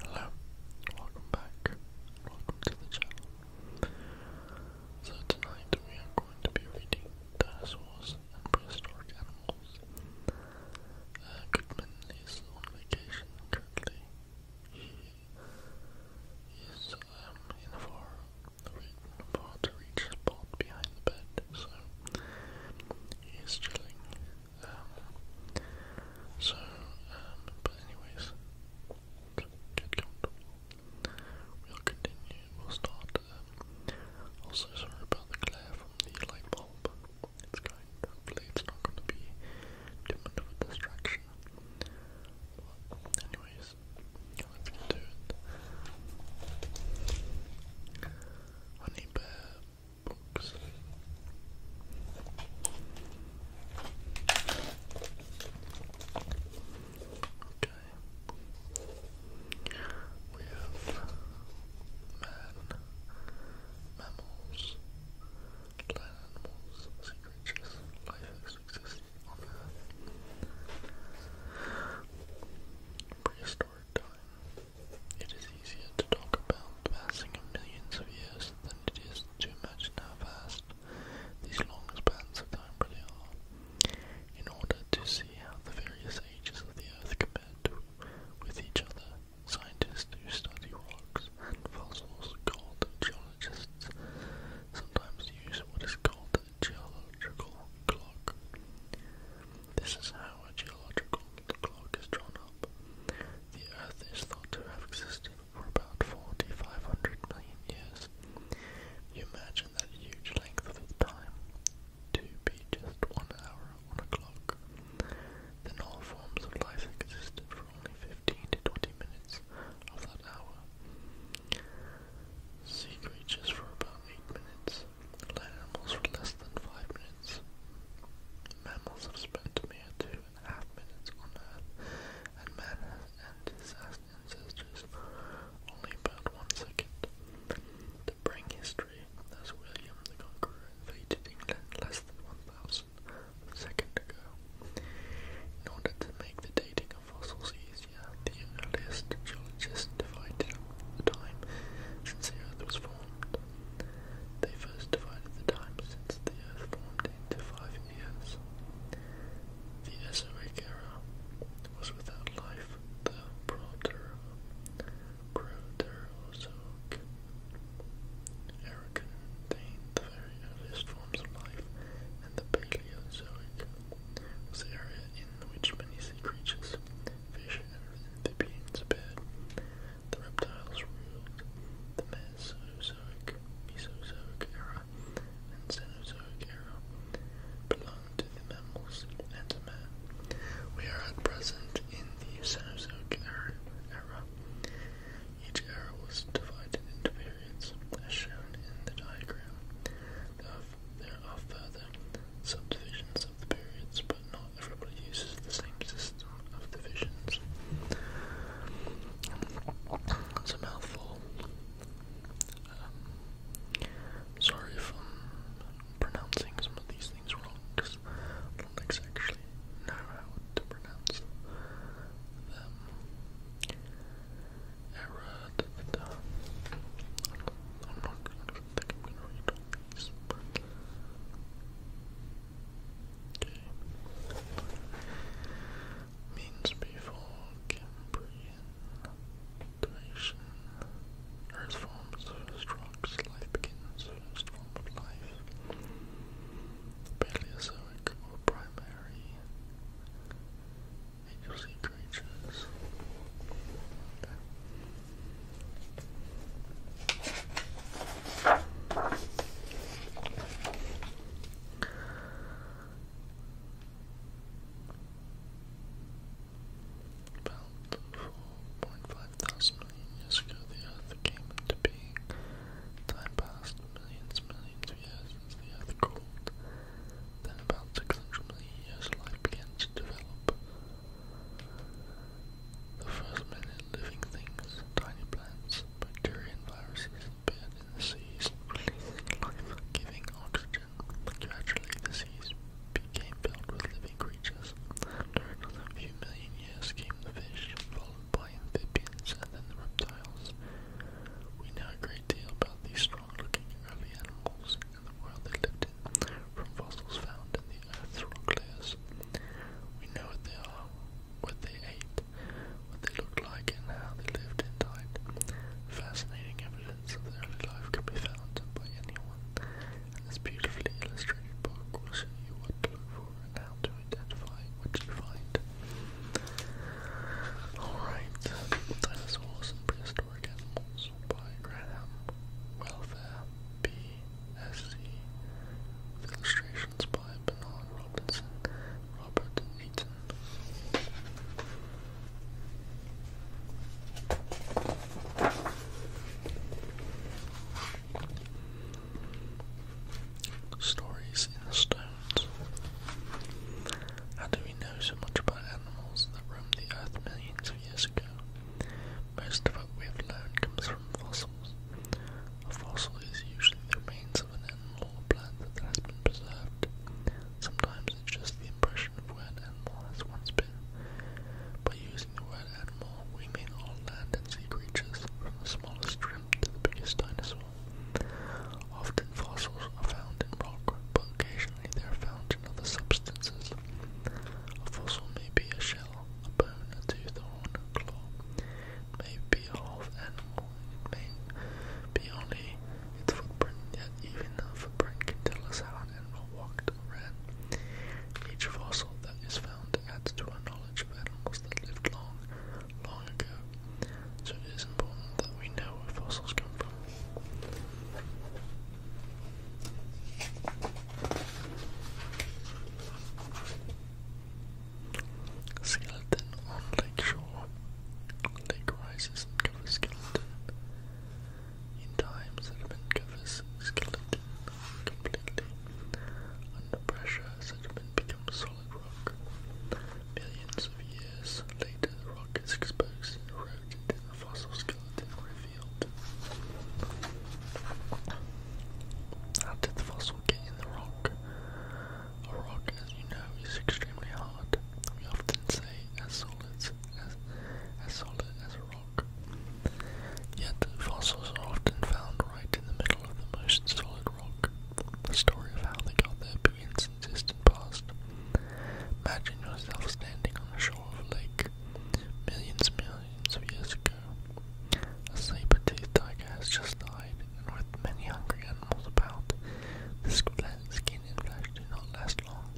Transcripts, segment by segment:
Hello, welcome back, welcome to the channel. So tonight we are going to be reading Dinosaurs and Prehistoric Animals. Uh, Goodman is on vacation currently. He is um, in a far, far to reach spot behind the bed, so he is chilling so, um, but anyways, get comfortable. We'll continue. We'll start. Um, also, sorry about the glare from the light bulb. It's going. Hopefully, it's not going to be too much of a distraction. But anyways, let's get to it. Honey bear. Okay. We have man, mammals, land animals, sea creatures, life as on Earth. Prehistoric time. It is easier to talk about passing millions of years that it is too much now fast these long spans of time really are, in order to see how the various ages of the earth compare to, with each other. Scientists who study rocks and fossils called geologists sometimes use what is called a geological clock. This is how a geological clock is drawn up. The Earth is thought to have existed for about 4,500 million years. You imagine that huge length of time to be just one hour on a clock. Then all forms of life existed for only 15 to 20 minutes of that hour. Sea creatures for about 8 minutes, land animals for less than 5 minutes. Mammals have spent mere two and a half minutes on Earth, and man and his ancestors only about one second. The Bring history, as William the Conqueror invaded England less than 1,000 ago. In order to make the dating of fossils easier, the earliest geologists divided the time since the Earth was formed. They first divided the time since the earth formed into five eras. The Esoic era was without life, the Proterozoic era contained the very earliest forms of life, and the Paleozoic was the area in which many sea creatures, fish, and amphibians appeared. The reptiles ruled, the man Mesozoic, Mesozoic era, and Cenozoic era belong to the mammals and to man. We are at present in the Cenozoic era. Each era was divided into periods, as shown in the diagram. There are further subdivisions of the periods, but not everybody uses the same system of the visions. a mouthful. Um, sorry if I'm pronouncing some of these things wrong, because I do actually know how to pronounce them. Error, I'm not, I do think I'm gonna read these, but Okay. Means before Cambrian creation, Earth forms first rocks, life begins, first form of life. Paleozoic or primary agency creatures. About 4.5 thousand million years ago, the Earth came into being. Time passed millions, millions of years since the Earth cooled. Then, about 600 million years, life began to develop. The first minute living things, tiny plants, bacteria and viruses embedded in the seas, giving oxygen. Gradually, the seas became filled with living creatures. After a few million years came the fish, followed by amphibians and then the reptiles. We know a great deal about these strong-looking early animals and the world they lived in, from fossils found in the Earth's rock layers. We know what they are, what they ate, what they looked like and how they lived and died. Fascinating evidence of their early life can be found by anyone, this beautifully illustrated book will show you what to look for and how to identify what you find. Alright, Dinosaurs and Prehistoric Animals by Graham Welfare B. SC illustrations by Bernard Robertson, Robert Eaton. Stories in the Stones. How do we know so much about animals that roamed the earth millions of years ago? Most of what we have learned comes fossils. A fossil is usually the remains of an animal or plant that has been preserved. Sometimes it's just the impression of where an animal has once been. By using the word animal, we mean all land and sea creatures, from the smallest shrimp to the biggest dinosaur. Often fossils are found in rock, but occasionally they are found in other substances. A fossil may be a shell, a bone, a tooth, or horn, a claw may be of half animal, it may be only its footprint, yet even the footprint can tell us how an animal walked or ran. Each fossil that is found adds to our knowledge of animals that lived long, long ago, so it is isn't important that we know where fossils come from. Skeleton on lakeshore. Lake rises covers skeleton. In time, sediment covers skeleton completely. Under pressure, sediment becomes solid rock. Millions of years later, the rock is exposed and eroded, and the fossil skeleton revealed. How did the fossil get in the rock? A rock, as you know, is extremely hard. We often say as solid as, as solid as a rock. Yet fossils are often found right in the middle of the most solid rock. The story of how they got there begins in distant past. Imagine yourself standing on the shore of a lake millions millions of years ago. A saber-toothed tiger has just died and with many hungry animals about, the skin and flesh do not last long.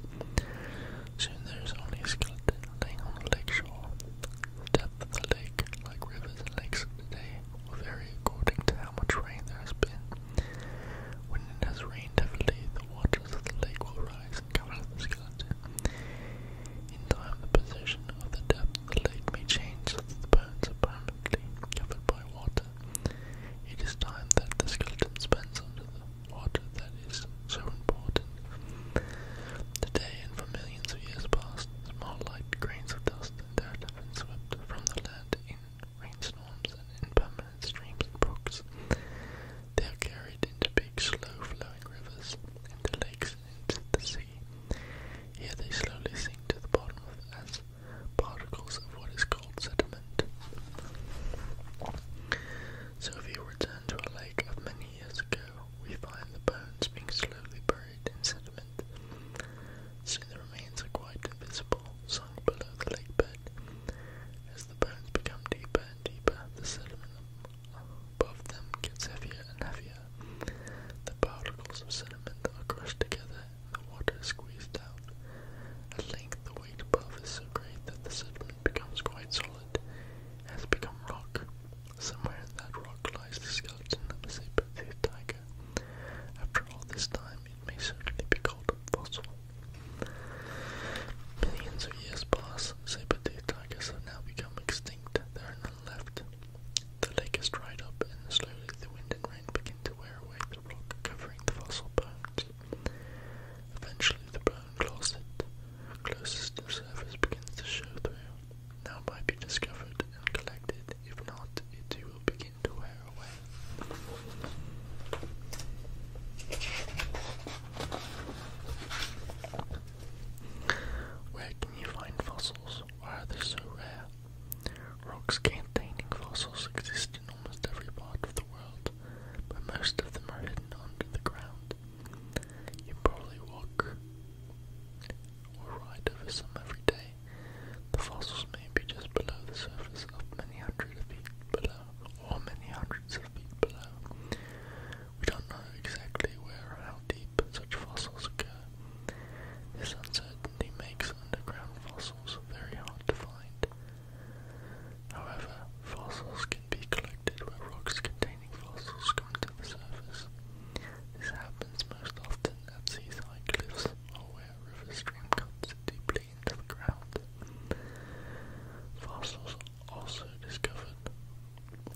Soon there is only a skeleton laying on the lake shore. The depth of the lake, like rivers and lakes of today, will vary according to how much rain there has been. When it has rained heavily, the waters of the lake will rise and cover the skeleton. In time, the position of the depth of the lake may change so that the bones are permanently permanently covered by water. It is time that the skeleton spends under the water that is so important. Today and for millions of years past, small light grains of dust and dirt have been swept from the land in rainstorms and in permanent streams and brooks. They are carried into big, slow-flowing rivers, into lakes, and into the sea. Here they slowly sink to the bottom of as particles of what is called sediment. So if we return to a lake of many years ago, we find the bones being slowly buried in sediment. Soon the remains are quite invisible, sunk below the lake bed. As the bones become deeper and deeper, the sediment above them gets heavier and heavier. The particles of sediment are crushed together the water is squeezed out. At length, the weight above is so great that the sediment becomes quite solid, has become rock. Somewhere in that rock lies the skeleton of a saber-toothed tiger. After all this time, it may certainly be called a fossil. Millions of years pass, saber-toothed tigers have now become extinct. There are none left. The lake is dried up, and slowly the wind and rain begin to wear away the rock covering the fossil bones. Eventually, the bone closet closest to the surface begins to show through. Now might be discovered and collected. If not, it will begin to wear away. Where can you find fossils? Why are they so rare? Rocks containing fossils exist in almost every part of the world, but most of them are hidden under the ground. You probably walk or ride over some every day. The fossils may be just below the surface of many hundreds of feet below, or many hundreds of feet below. We don't know exactly where or how deep such fossils occur, this uncertainty makes underground fossils very hard to find. However, fossils can be collected where rocks containing fossils come to the surface. This happens most often at seaside cliffs or where a stream cuts deeply into the ground. Fossils also discovered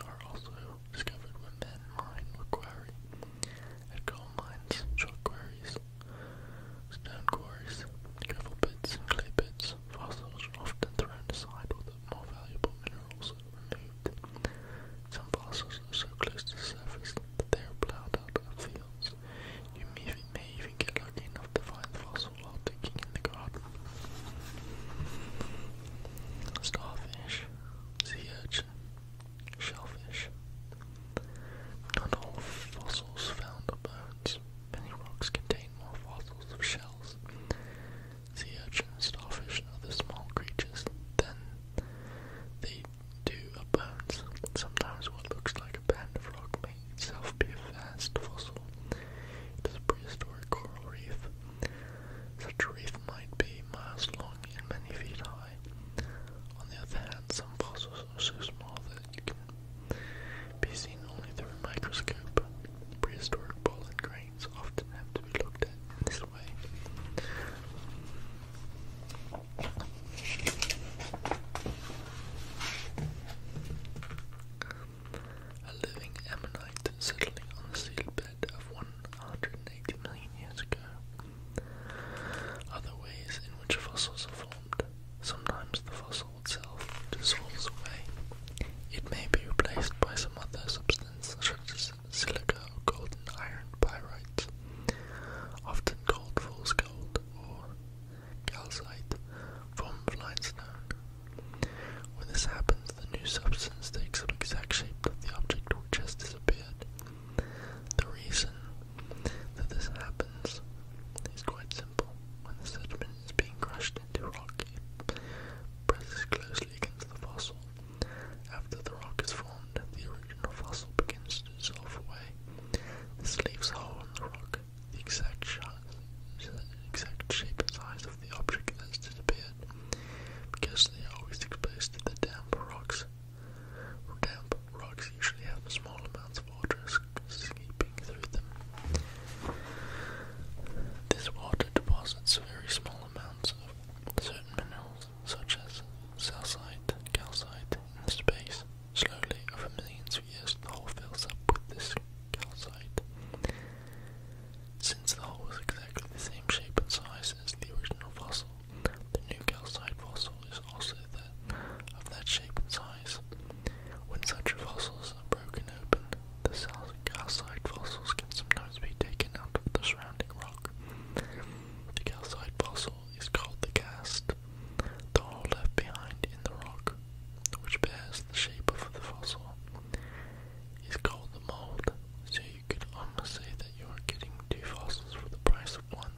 are also discovered when men mine or quarry at coal mines, chalk quarries, stone quarries, gravel pits, and clay pits. Fossils are often thrown aside or the more valuable minerals are removed. Some fossils are so close to the surface that they are plowed out of fields. You may, may even get lucky enough to find the fossil while digging in the garden. Starfish, sea urchins, shellfish. Not all fossils found are bones. Many rocks contain more fossils of shells. Sea urchins, starfish, and other small creatures Then, they do are bones. Sometimes what looks like a band of rock may itself be a vast fossil. It is a prehistoric coral reef. Such a reef might be miles long and many feet high. On the other hand, some fossils are so small that you can be seen only through a microscope. Prehistoric pollen grains often have to be looked at in this way. A living ammonite settling on the seabed of 180 million years ago other ways in which fossils are formed. Sometimes the fossil itself dissolves away. It may be replaced by some other substance such as silica or gold iron pyrites. Often called fool's gold or calcite, formed of limestone. When this happens, the new substance takes up exact shape of the object which has disappeared, the reason that this happens is quite simple. When the sediment is being crushed into rock, it presses closely against the fossil. After the rock is formed, the original fossil begins to dissolve away. This leaves a hole in the rock, the exact, sh exact shape and size of the object that has disappeared. Because they are always exposed to the damp rocks, Damp rocks usually have small amounts of water seeping through them. This water deposits very small amounts of certain minerals, such as calcite, calcite, in the space. Slowly, over millions of years, the hole fills up with this calcite. Since the hole was exactly the same shape and size as the original fossil, the new calcite fossil is also the, of that shape and size. When such fossils are broken open, the calcite fossils can sometimes be taken out of the surrounding rock. The calcite fossil is called the cast, the hole left behind in the rock, which bears the shape of the fossil, is called the mold, so you could almost say that you are getting two fossils for the price of one.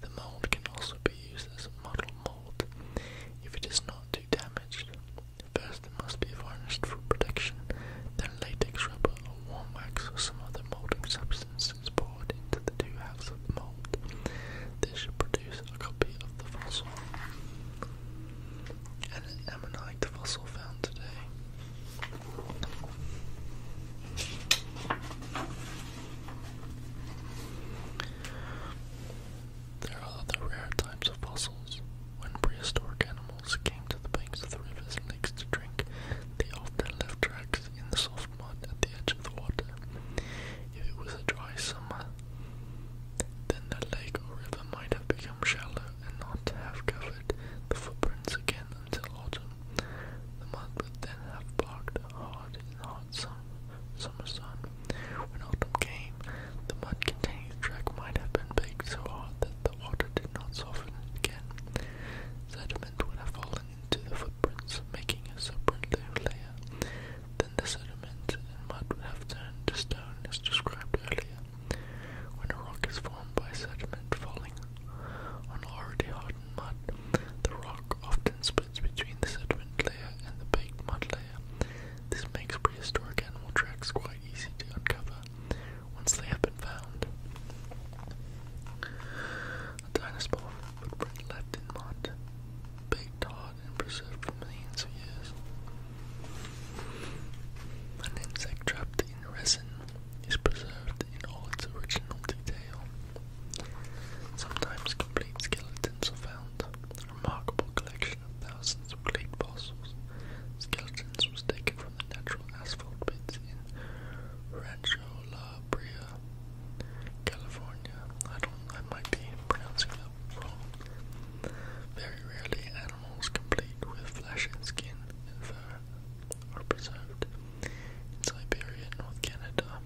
The mold can also be used as a model mold if it is not too damaged. First it must be varnished for protection, then latex rubber or warm wax or some other molding substance is poured into the two halves of the mold. This should produce a copy of the fossil. And an ammonite fossil found today. There are other rare types of fossils. When prehistoric animals came to the banks of the rivers and lakes to drink, they often left tracks in the soft mud at the edge of the water. If it was a dry summer, then the lake or river might have become shallow and not have covered the footprints again until autumn. The mud would then have barked hard in the hot sun. summer sun. When autumn came, the mud containing the track might have been baked so hard that the water did not soften again. Sediment would have fallen into the footprints, making a separate layer. Then the sediment and mud would have turned to stone as described earlier. When a rock is formed by sediment falling on already hardened mud, the rock often splits between the sediment layer and the baked mud layer. This makes prehistoric animal tracks quite easy to uncover once they have been found. A dinosaur footprint left in mud, baked hard and preserved for millions of years. An insect trapped in resin is preserved in all its original detail. Sometimes complete skeletons are found. A remarkable collection of thousands of clay fossils. Skeletons was taken from the natural asphalt pits in Rancho La Brea, California. I don't, I might be pronouncing that wrong. Very rarely animals complete with flesh and skin and are preserved. In Siberia and North Canada,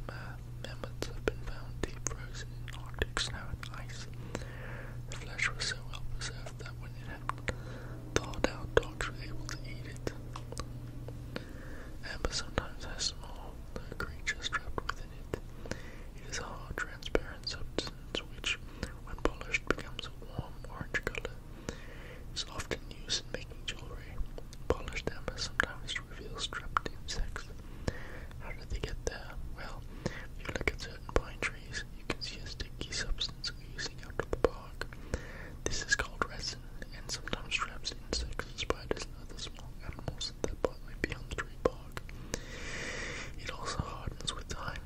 mammoths have been found deep frozen in Arctic snow and ice. The flesh was so well preserved that when it had thawed out, dogs were able to eat it. Amber sometimes has small creatures trapped within it. It is a hard, transparent substance which, when polished, becomes a warm orange color is often used in making jewelry. Polish them sometimes to reveal insects. How did they get there? Well, if you look at certain pine trees, you can see a sticky substance oozing out of the bark. This is called resin and sometimes traps insects, spiders, and other small animals that the bark. It also hardens with time.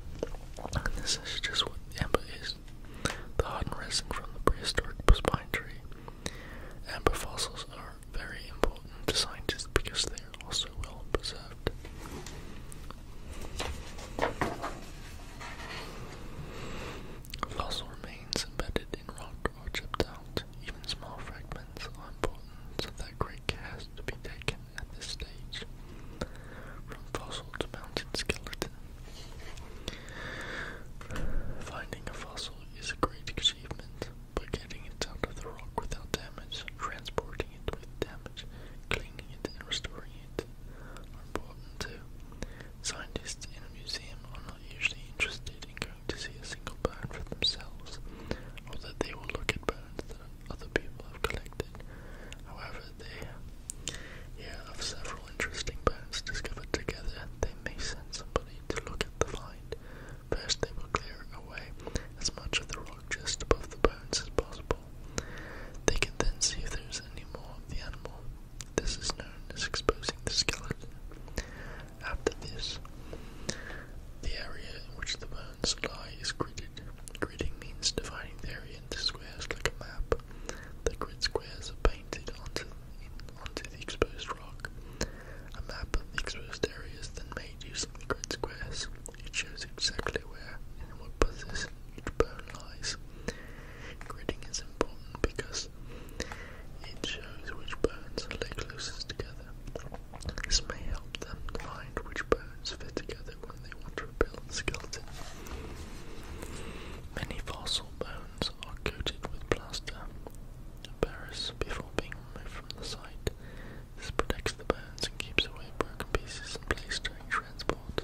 And this is just what amber is. The hardened resin from the prehistoric pine tree Amber fossils are very important to scientists because they are also well preserved. Fossil remains embedded in rock or chipped out. Even small fragments are important, so that great care has to be taken at this stage. From fossil to mounted skeleton. Finding a fossil is a great achievement, but getting it out of the rock without damage, transporting it with damage, cleaning it, and restoring it are important too. Scientists in a museum are not usually interested in going to see a single bone for themselves, although they will look at bones that other people have collected. However, they have several interesting bones discovered together, they may send somebody to look at the find. First, they will clear away as much of the rock just above the bones as possible. They can then see if there is any more of the animal. This is known as exposing the skeleton. After this, the area in which the bones lie is gridded. Gridding means dividing the area into squares like a map. The grid squares are painted onto onto the exposed rock. A map of the exposed areas then made using the grid squares. It shows exactly where and in what position each bone lies. Gridding is important because it shows which bones are lay closest together. This may help them to find which bones fit together when they want to rebuild the skeleton. Many fossil bones stones are coated with plaster. Paris, before being removed from the site, this protects the bones and keeps away broken pieces in place during transport.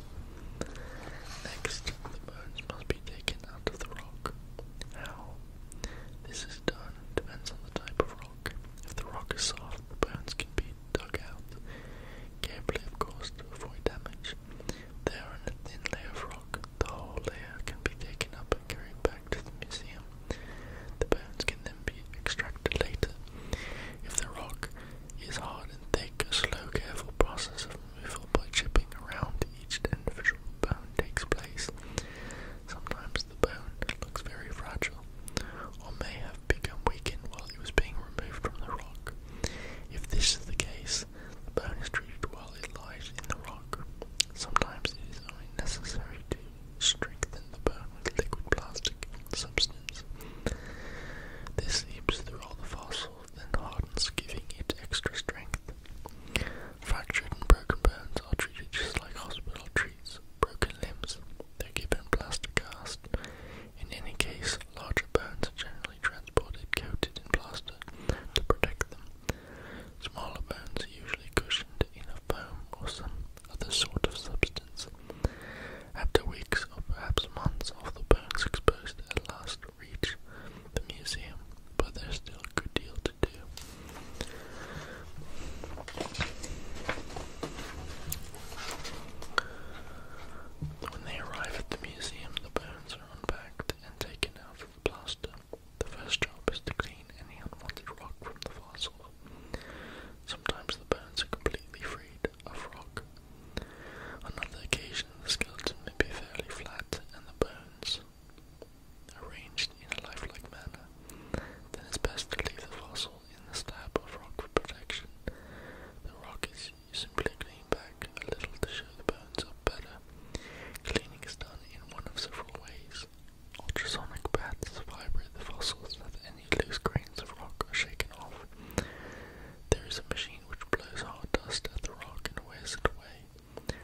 Next, the bones must be taken out of the rock. How? This is done depends on the type of rock. If the rock is soft, the bones can be dug out, carefully of course to avoid damage. They are in a thin layer of rock the whole layer can be taken up and carried back to the museum. The bones can then be extracted later. If the rock is hard and thick, a slow, careful process of removal by chipping around each individual bone takes place. Sometimes the bone looks very fragile, or may have become weakened while it was being removed from the rock. If this is the case, the bone is treated while it lies in the rock. Sometimes it is only necessary to strengthen the bone with liquid plastic substance. This seeps through all the fossil, then hardens, giving it extra strength. Fractured and broken bones are treated just like hospital treats broken limbs. They're given plaster casts. In any case, larger bones are generally transported coated in plaster to protect them. Smaller bones are usually cushioned in a foam or some other sort of substance. After weeks or perhaps months of the bones exposed at last reach the museum, but there's still a good deal to do. When they arrive at the museum, the bones are unpacked and taken out of the plaster. The first job is to clean any unwanted rock from the fossil. Sometimes the bones are completely freed of rock. On other occasions, the skeleton may be fairly flat and the bones arranged in a lifelike manner. Then it's best to leave the fossil in the slab of rock for protection. The rock is simply cleaned back a little to show the bones are better. Cleaning is done in one of several ways. Ultrasonic baths vibrate the fossils so that any loose grains of rock are shaken off. There is a machine which blows hard dust at the rock and wears it away.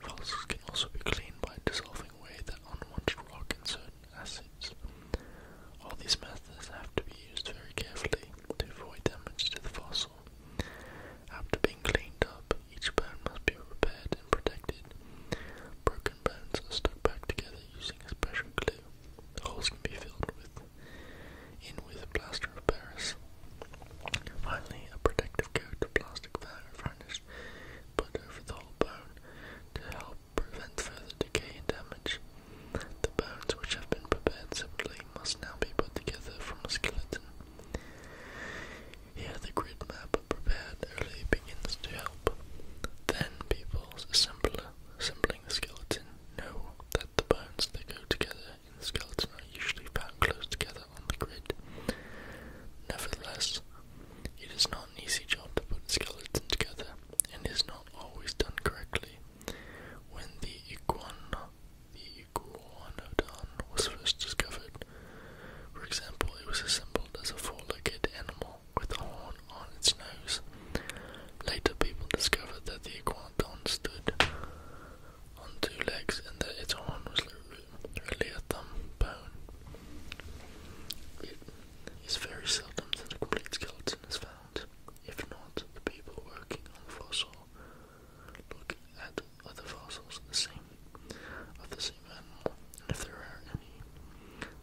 Fossils can also be cleaned by dissolving away the unwanted rock in certain acids. All these methods have to be used very carefully to avoid damage to the fossil. After being cleaned up, each bone must be repaired and protected. Broken bones are stuck back together using a special glue. The holes can be filled with in with plaster of Paris. Finally, a protective coat of plastic varnish put over the whole bone to help prevent further decay and damage. The bones, which have been prepared separately, must now be put together from a skeleton. He the grid map prepared early begins to help. Then people assembler, assembling the skeleton know that the bones that go together in the skeleton are usually found close together on the grid. Nevertheless, it is not an easy job to put a skeleton together and is not always done correctly. When the iguana the iguanodon was first discovered, for example, it was assembled as a four-legged animal with a horn on its nose. Later, people discovered that the iguanodon stood on two legs and that its horn was really a thumb bone. It is very seldom that a complete skeleton is found. If not, the people working on the fossil look at other fossils the same of the same animal, and if there are any,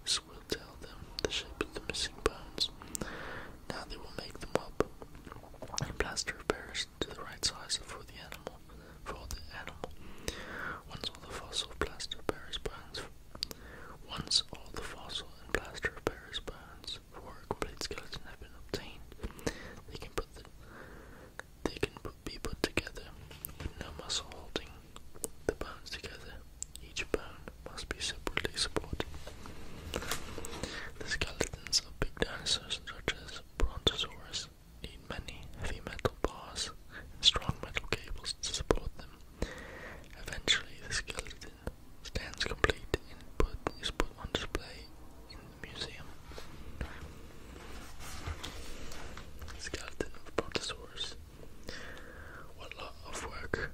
this will tell them the shape of the missing bones. Now they will make them up and plaster of Paris to the right size for the animal. For the animal, once all the fossil plaster of Paris bones. Once all the fossil and plaster of Paris bones for a complete skeleton have been obtained, they can put the they can put be put together with no muscle holding the bones together. Each bone must be separately supported. The skeletons of big dinosaurs such as Brontosaurus need many heavy metal bars and strong metal cables to support them. Eventually the skeleton stands complete and is put on display in the museum. Skeleton of Brontosaurus. What lot of work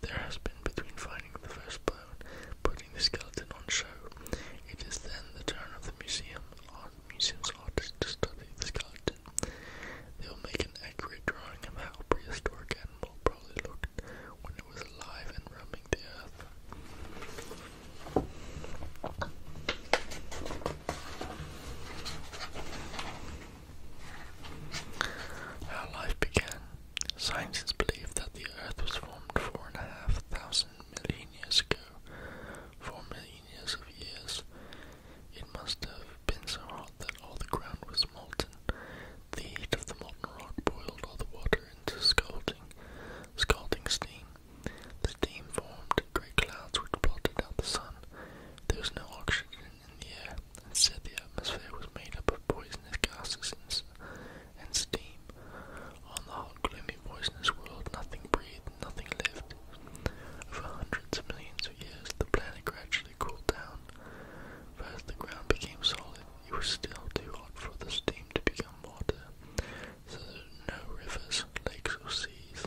there has been between finding the first bone, putting the skeleton on show. It is then the turn of the museum museum's artists to study the skeleton. They will make an accurate drawing of how a prehistoric animal probably looked when it was alive and roaming the earth. How life began. Science is believed that the Earth was formed four and a half thousand million years ago. Four million years of years. It must have been so hot that all the ground was molten. The heat of the molten rock boiled all the water into scalding, scalding steam. The steam formed great clouds which blotted out the sun. There was no oxygen in the air. Instead, the atmosphere was made up of poisonous gases and steam. On the hot, gloomy, poisonous world, nothing breathed, nothing lived. For hundreds of millions of years, the planet gradually cooled down. But as the ground became solid. It was still too hot for the steam to become water so there were no rivers, lakes, or seas.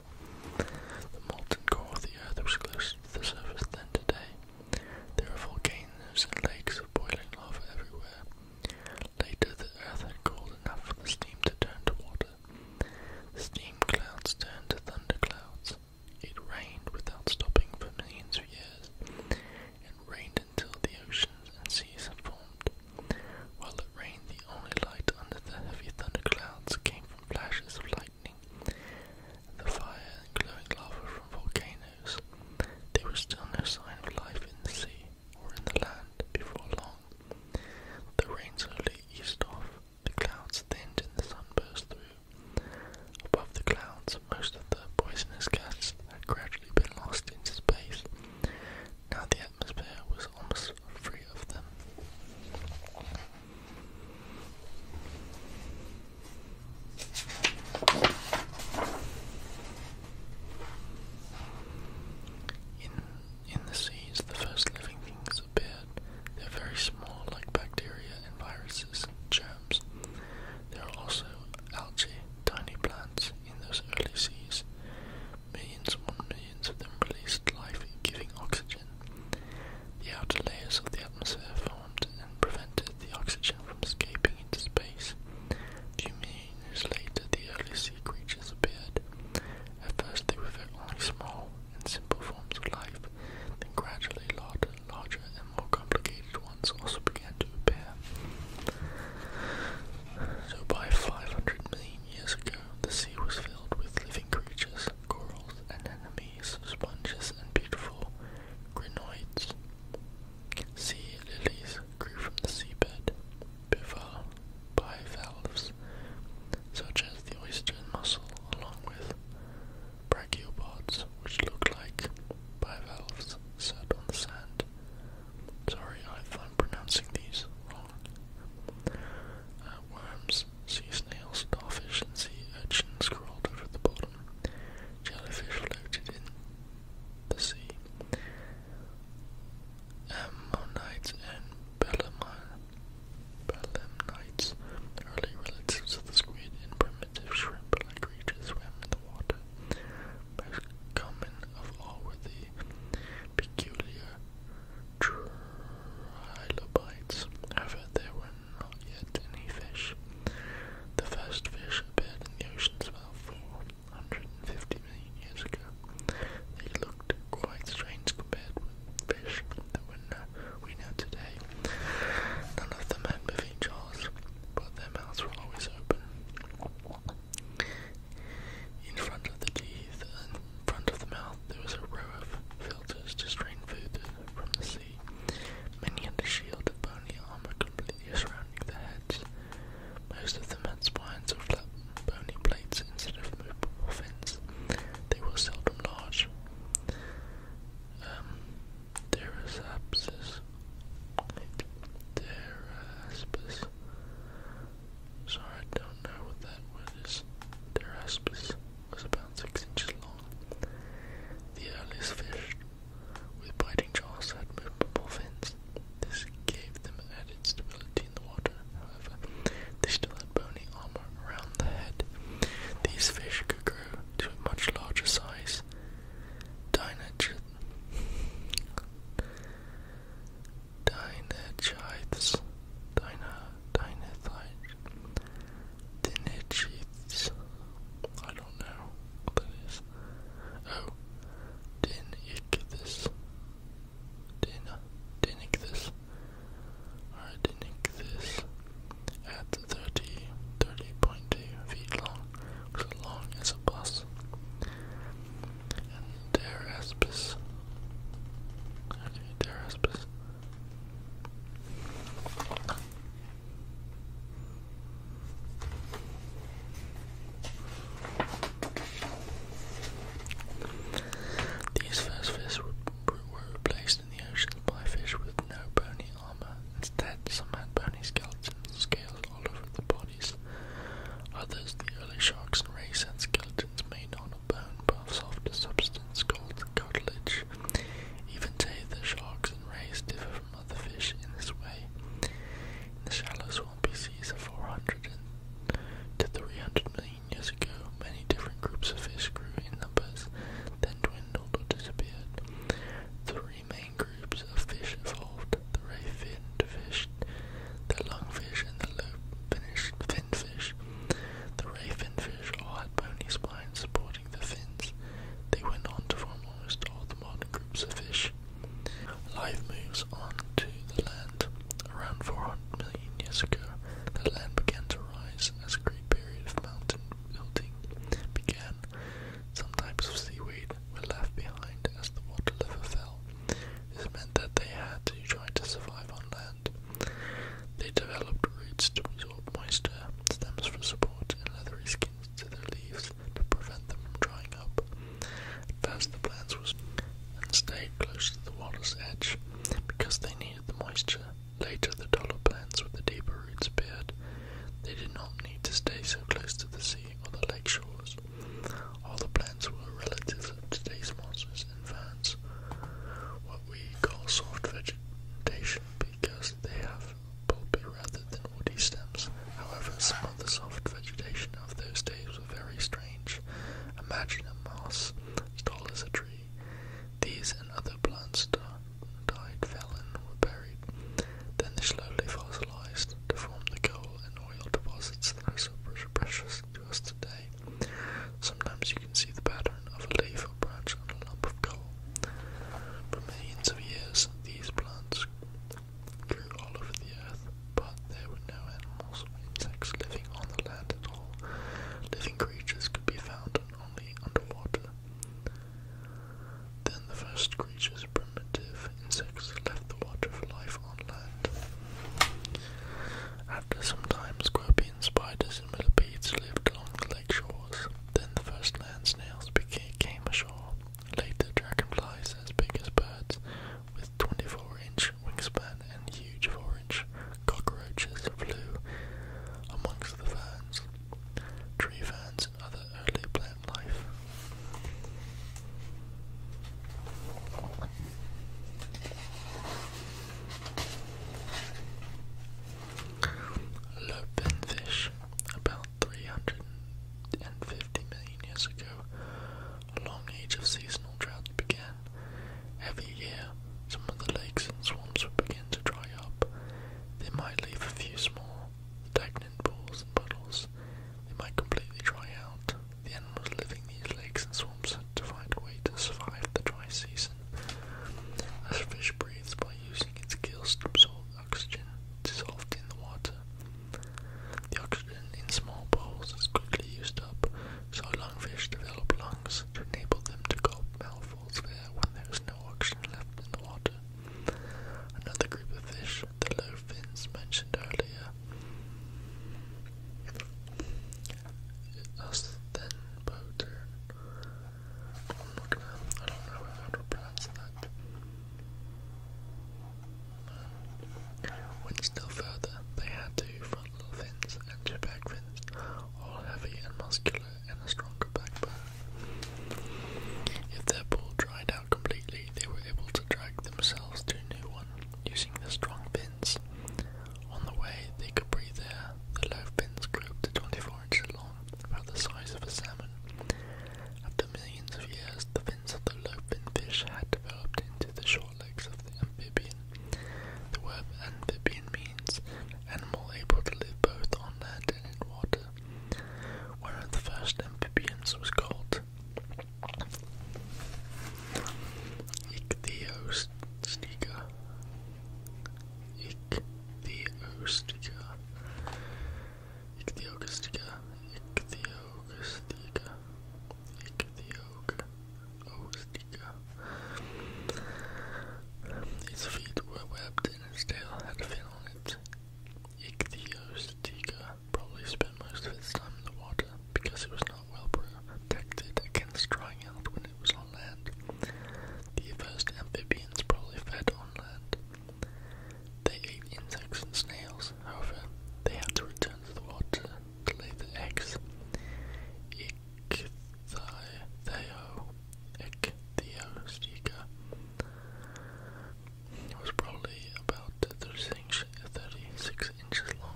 The molten core of the earth was closer to the surface than today. There were volcanoes and lakes of boiling lava everywhere. Later, the earth had cooled enough for the steam to turn to water. steam clouds turned to thunder clouds. It rained without stopping for millions of years. and rained until the oceans and seas had formed. While rain, the only light under the heavy thunderclouds came from flashes of lightning, the fire and glowing lava from volcanoes. There was still no sign of life in the sea or in the land before long. The rain slowly eased off, the clouds thinned, and the sun burst through. Above the clouds, most of the poisonous gases had gradually been lost into space. Now the atmosphere was almost in the seas, the first living things appeared. They're very small, like bacteria and viruses and germs. There are also algae, tiny plants in those early seas, millions upon millions of them released life-giving oxygen. The outer layers of the atmosphere formed and prevented the oxygen from escaping into space. few million years later, the early sea creatures appeared. At first, they were only small and simple forms of life, then gradually larger and more complicated ones also began to appear. So, by 500 million years ago, the sea was filled with living creatures, corals, anemones, sponges, and beautiful crinoids. Sea lilies grew from the seabed, bivalves, bivalves, such as the oyster and mussel, along with brachiopods, which look like bivalves, sat on the sand. Sorry i found pronouncing these wrong. Uh, worms, sea snails, starfish, and sea urchins crawled over the bottom. Jellyfish floated in the sea. Ammonites and belemnites, early relatives of the squid and primitive shrimp-like creatures, swam in the water. Most common of all were the peculiar trilobites, however, there were not yet any fish. The first fish appeared in the oceans about 450 million years ago. They looked quite strange compared with fish that we know today. None of them had moving jaws, but their mouths were always open. In front of the teeth and front of the mouth there was a row of filters to strain food from the sea. Many had a shield of bony armor completely surrounding their heads. Most of them had spines or flat bony plates instead of movable fins. They were seldom large. Um, Derasapsis. So I don't know what that word is. Pteraspis was about six inches long. The earliest fish with biting jaws had movable fins. This gave them added stability in the water. However, they still had bony armor around the head. These fish could grow to a much larger size. Dynatrid Dinachites, Dina, Dinathites, Dinachites, I don't know what that is. Oh, Dinichthys, Dina, Dinichthys, or Dinichthys at 30, 30.2 feet long, which is long as a bus and Okay, Daraspis. These first fish were, replaced in the oceans by fish with no bony armor. Instead, some had bony skeletons, and scales all over the bodies. Others, the early sharks and rays, had skeletons made of bone by a softer substance called cartilage. Even today, the sharks and rays differ from other fish in this way. In the shallow swampy seas of 400 to 300 million years ago, many different groups of fish grew in numbers, then dwindled or disappeared. Three main groups of fish evolved, the ray-finned fish, the lungfish, and the lobe-finned fish finfish. The ray fish all had bony spines supporting the fins. They went on to form almost all the modern groups of fish. Life moves on to the land. Around 400 million years ago, the land began to rise as a great period of mountain building began. Some types of seaweed were left behind as the water level fell. This meant that they had to try to survive on land. They developed roots to absorb moisture, stems for support, and leathery skins to their leaves to prevent them from drying up. At first, the plants were and stayed close to the water's edge because they needed the moisture. Later, the taller plants with the deeper roots appeared. They did not need to stay so close to the sea or the lake shores. All the plants were relatives of today's mosses farmers what we call soft vegetation because they have pulpy rather than woody stems. However, some of the soft vegetation of those days were very strange. Imagine a moss tall as a tree. These and other plants died, fell, and were buried. Then they slowly fossilized to form the coal and oil deposits that are so precious to us today. Sometimes you can see the pattern of a leaf or branch on a lump of coal. For millions of years, these plants grew all over the earth, but there were no animals or insects living on the land at all. Living creatures could be found only underwater. Then the first creatures, primitive insects, left the water for life on land. After some time, scorpions, spiders, and millipedes lived along the lake shores. Then the first land snails became, came ashore. Later, dragonflies as big as birds, with 24-inch wingspan and huge 4-inch cockroaches flew amongst the ferns, tree ferns, and other early plant life. Lupinfish, about 350 million years ago, a long age of seasonal drought began. Every year, some of the lakes and swamps would begin to dry up. They might leave a few small, stagnant pools and puddles. They might completely dry out. The animals living these lakes and swamps to find a way to survive the dry season, as fish breathes by using its gills to absorb oxygen dissolved in the water. The oxygen in small bowls is quickly used up, so lungfish develop lungs to enable them to gulp mouthfuls of air when there is no oxygen left in the water. Another group of fish, the low fins mentioned earlier, Aspenboter. I'm not gonna, I don't know how to pronounce that. Went still further, they had two frontal fins and two back fins, all heavy and muscular and a stronger backbone. If their pool dried out completely, they were able to drag themselves to a new one the strong fins. On the way, they could breathe air. The low fins grew to 24 inches long, about the size of a salmon. After millions of years, the fins of the low-finned fish had developed into the short legs of the amphibian. The word amphibian means animal able to live both on land and in water. One of the first amphibians was called Ichthyostega, Ichthyogustica. Ichthyogustica. Ichthyogustica. Ichthyogustica. Its feet were webbed and its tail had a fin on it. Ichthyogustica probably spent most of its time in the water because it was not well protected against drying out when it was on land. The first amphibians probably fed on land. They ate insects and snails, however, they had to return to the water to lay their eggs. Ichthyeo, ichthyostica was probably about 36 inches long.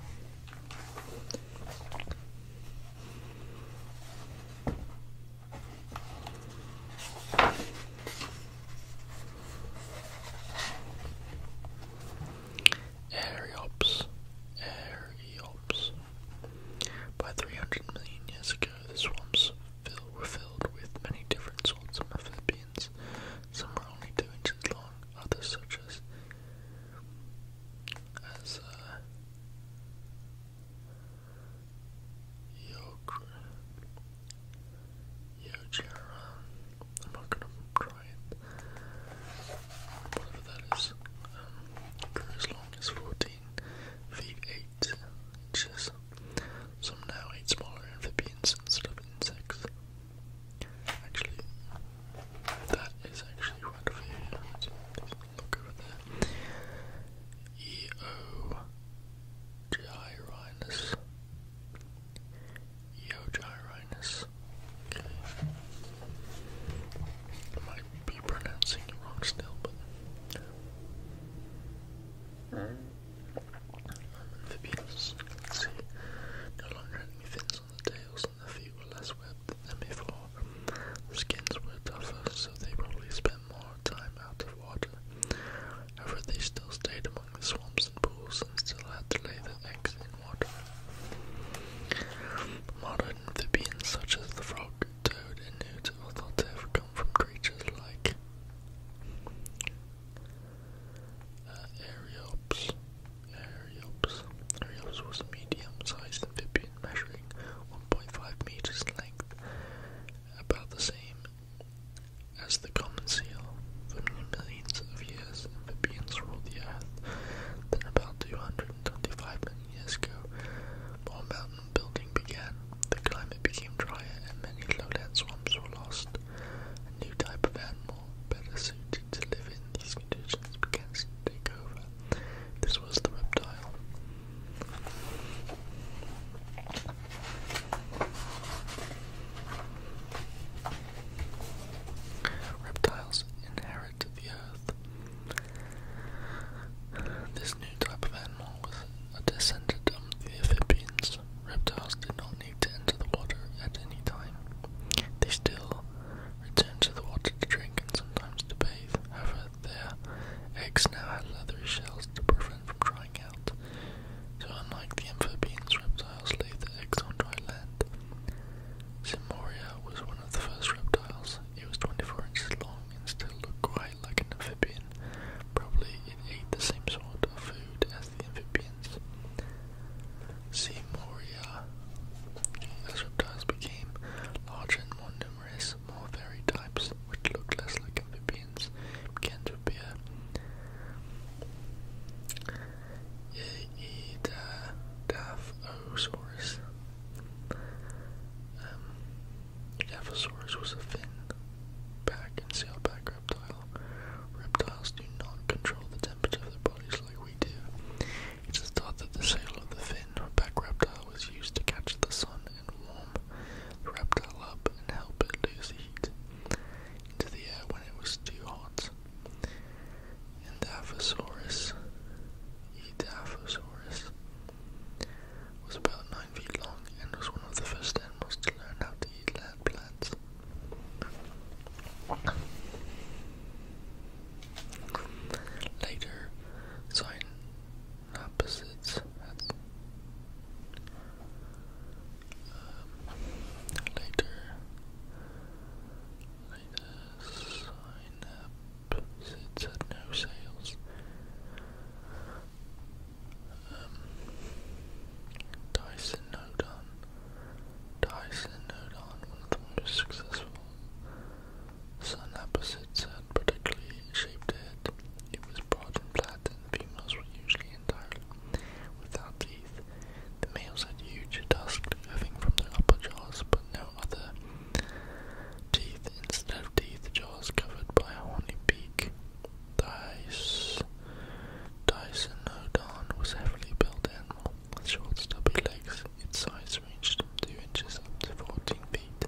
Areops, Areops. By 300 million years ago, the swamps were filled with many different sorts of amphibians. Some were only two inches long, others, such as as a uh, Yo, Yo I'm not gonna try Whatever that is. Um, grew 14 feet 8 inches. Some now eat smaller amphibians instead of insects. Actually, that is actually right over here. look over there. E O Okay. might be pronouncing it wrong still, but. Um, hmm? amphibians, the tails and the feet were less webbed than before. The skins were tougher, so they probably spent more time out of water. However, they still stayed among the swamps and pools and still had to lay their eggs in water. Modern amphibians such as the frog, toad, and newt are thought to have come from creatures like uh, Ariops. Ariops was a medium-sized amphibian measuring 1.5 meters in length, about the same as the common seal. For millions of years, amphibians ruled the earth. Then, about 225 million years ago, more mountain building began. The climate became drier, and many lowland swamps were lost. A new type of animal, better suited to live in these began to take over. This was the reptile. Reptiles inherit the earth. This new type of animal was a descendant of the amphibians. Reptiles did not need to enter the water at any time. They still returned to the water to drink and sometimes to bathe. However, their eggs now have leathery shells to prevent from drying out. So, unlike the amphibians, reptiles laid their eggs on dry land. Simoria was one of the first reptiles. It was 24 inches long and still looked quite like an amphibian. Probably it ate the same sort of food as the amphibians. Simoria. As reptiles became larger and more numerous, more varied types, which look less like amphibians, began to appear. Edaphosaurus. Um, Edaphosaurus was a fin back and sailback reptile. Reptiles do not control the temperature of their bodies like we do. He just thought that the sail of the fin-back reptile was used to catch the sun and warm the reptile up and help it lose heat into the air when it was too hot. And Daphosaurus, Edaphosaurus, was about 9 feet long and was one of the first animals to learn how to eat land plants. Later, Synapsids had um, later later Synapsids had no sales. Um, Dyson Nodon. Dyson Nodon, one of the most successful Sun opposites had particularly shaped head. It was broad and flat, and the females were usually entirely without teeth. The males had huge tusks curving from their upper jaws, but no other teeth. Instead of teeth, jaws covered by a horny beak. Dice. Dysonodon was heavily built animal with short, stubby legs. Its size 2 inches up to 14 feet.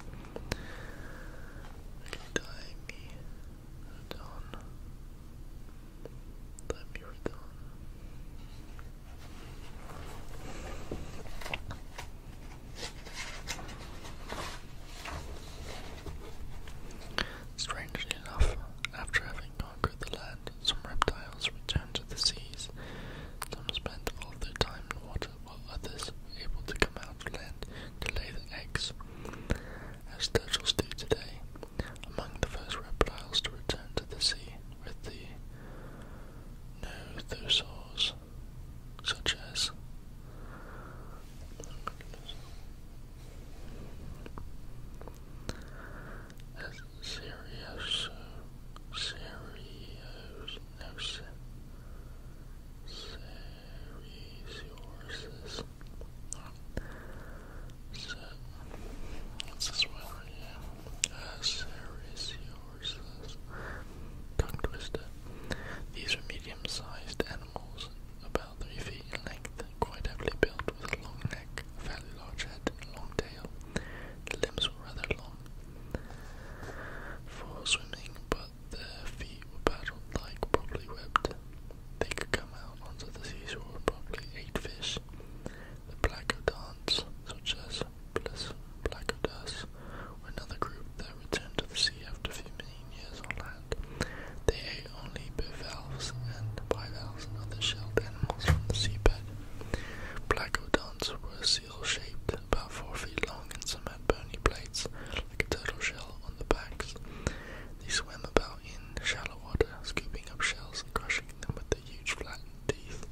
Okay, Daimi Radon. Daimi Radon. Strangely enough, after having conquered the land, some reptiles returned to the seas. Some spent all their time in water while others were able to come out to land to lay their eggs. As turtles do today, among the first reptiles to return to the sea were the nothosaurs, such as as Serios, Next resources. Oh. Set. What's this one right here? Tongue twister. These are medium-sized animals, about three feet in length, quite heavily built, with a long neck, fairly large head, and long tail. The limbs were rather long, for swimming, but their feet were paddled like properly webbed. They could come out onto the seashore and probably ate fish. The Placodonts, such as plus Placodas, were another group that returned to the sea after a few million years on land. They ate only bivalves and bivalves and other shelled animals from the seabed. Placodonts were seal-shaped, about 4 feet long, and some bony plates, like a turtle shell, on the backs. They swam about in shallow water, scooping up shells and crushing them with their huge flattened teeth.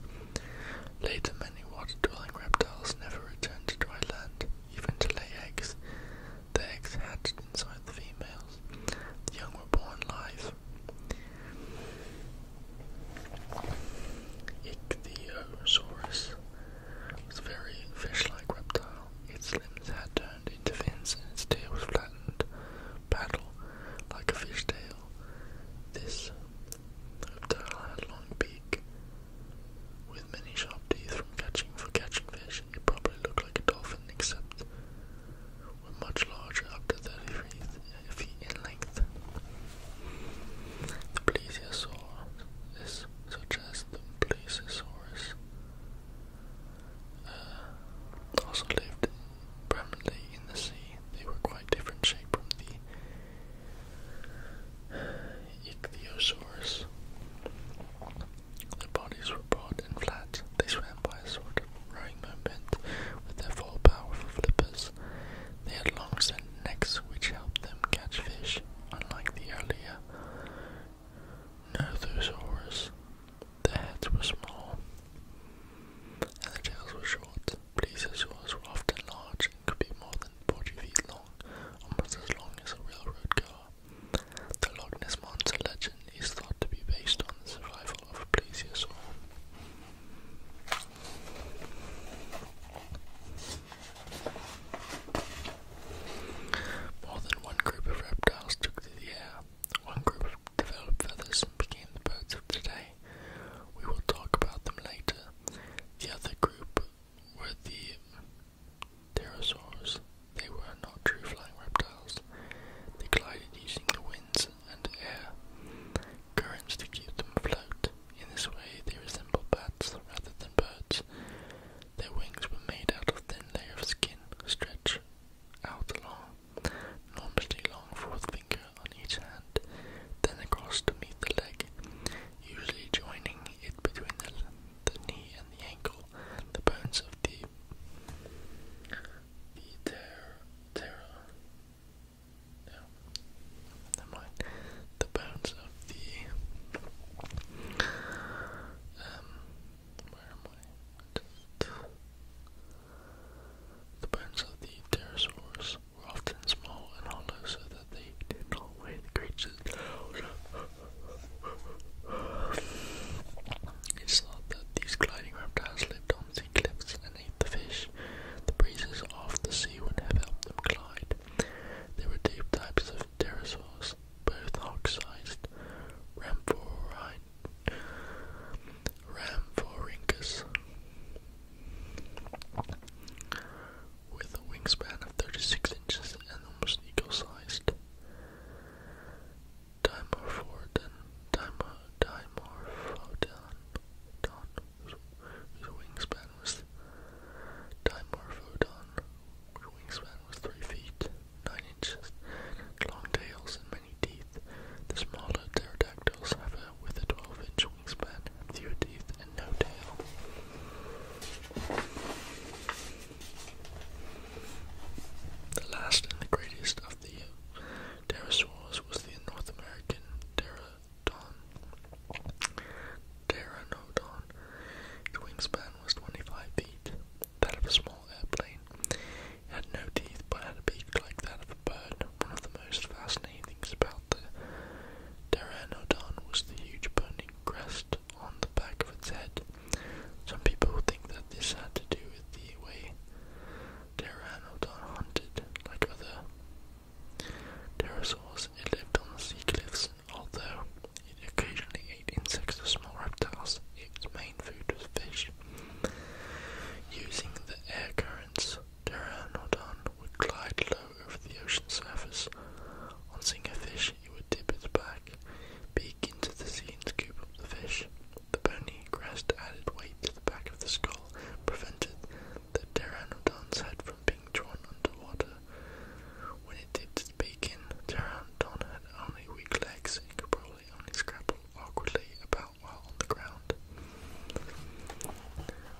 Later, many water-dwelling reptiles never returned to dry land, even to lay eggs. The eggs hatched inside the females. The young were born live. Ichthyosaurus was very fish-like reptile. Its limbs had turned into fins and its tail was flattened, paddle, like a fish tail. This reptile had a long beak with many sharp teeth from catching for catching fish. It probably looked like a dolphin except were much larger up to 33 feet in length. The plesiosaur is such as the plesiosaurus uh, also lived permanently in the sea. They were quite different shape from the ichthyosaurs. Their bodies were broad and flat. They swam by a sort of rowing movement with their four powerful flippers. They had long sent necks which helped them catch fish, unlike the earlier Nothosaurus. Their heads were small and their tails were short. Plesiosaurs were often large and could be more than 40 feet long, almost as long as a railroad car. The Loch Ness Monster legend is thought to be based on the survival of a plesiosaur. More than one group of reptiles took to the air. One group developed feathers and became the birds of today. We will talk about them later. The other group were the pterosaurs. They were not true flying reptiles. They glided using the winds and air currents to keep them afloat. In this way, they resemble bats rather than birds. Their wings were made out of thin layer of skin, stretched out along, normally long fourth finger on each hand, then across to meet the leg, usually joining it between the, knee and the ankle. The bones of the the ter terra, the bones of the um where am I? the bones of the pterosaurs were often small and hollow so that they did not weigh the creatures down. It's thought that these gliding reptiles lived on sea cliffs and ate the fish. The breezes off the sea would have helped them glide. There were two types of pterosaurs, both hawk-sized, Rhamphorhynchus, with a wingspan of 36 inches and almost equal-sized. Dimorphodon, whose wingspan was Dimorphodon, whose wingspan was three feet, nine inches, long tails and many teeth. The smaller pterodactyls have a with a twelve inch wingspan, few teeth and no tail. The last and the greatest of the uh, pterosaurs was the North American pterodon pteranodon. Its wingspan was 25 feet, that of a small airplane. It had no teeth but had a beak like that of a bird. One of the most fascinating things about the pteranodon was the huge burning crest on the back of its head. Some people think that this had to do with the way pteranodon hunted, like other pterosaurs. It lived on the sea cliffs Although it occasionally ate insects or small reptiles, its main food was fish. Using the air currents, Pteranodon would glide low over the ocean surface. On seeing a fish, it would dip its back, peek into the sea, and scoop up the fish. The bony crest added weight to the back of the skull, prevented the pteranodon's head from being drawn underwater. When it dipped its beak in, pteranodon had only weak legs and could probably only scrabble awkwardly about while on the ground.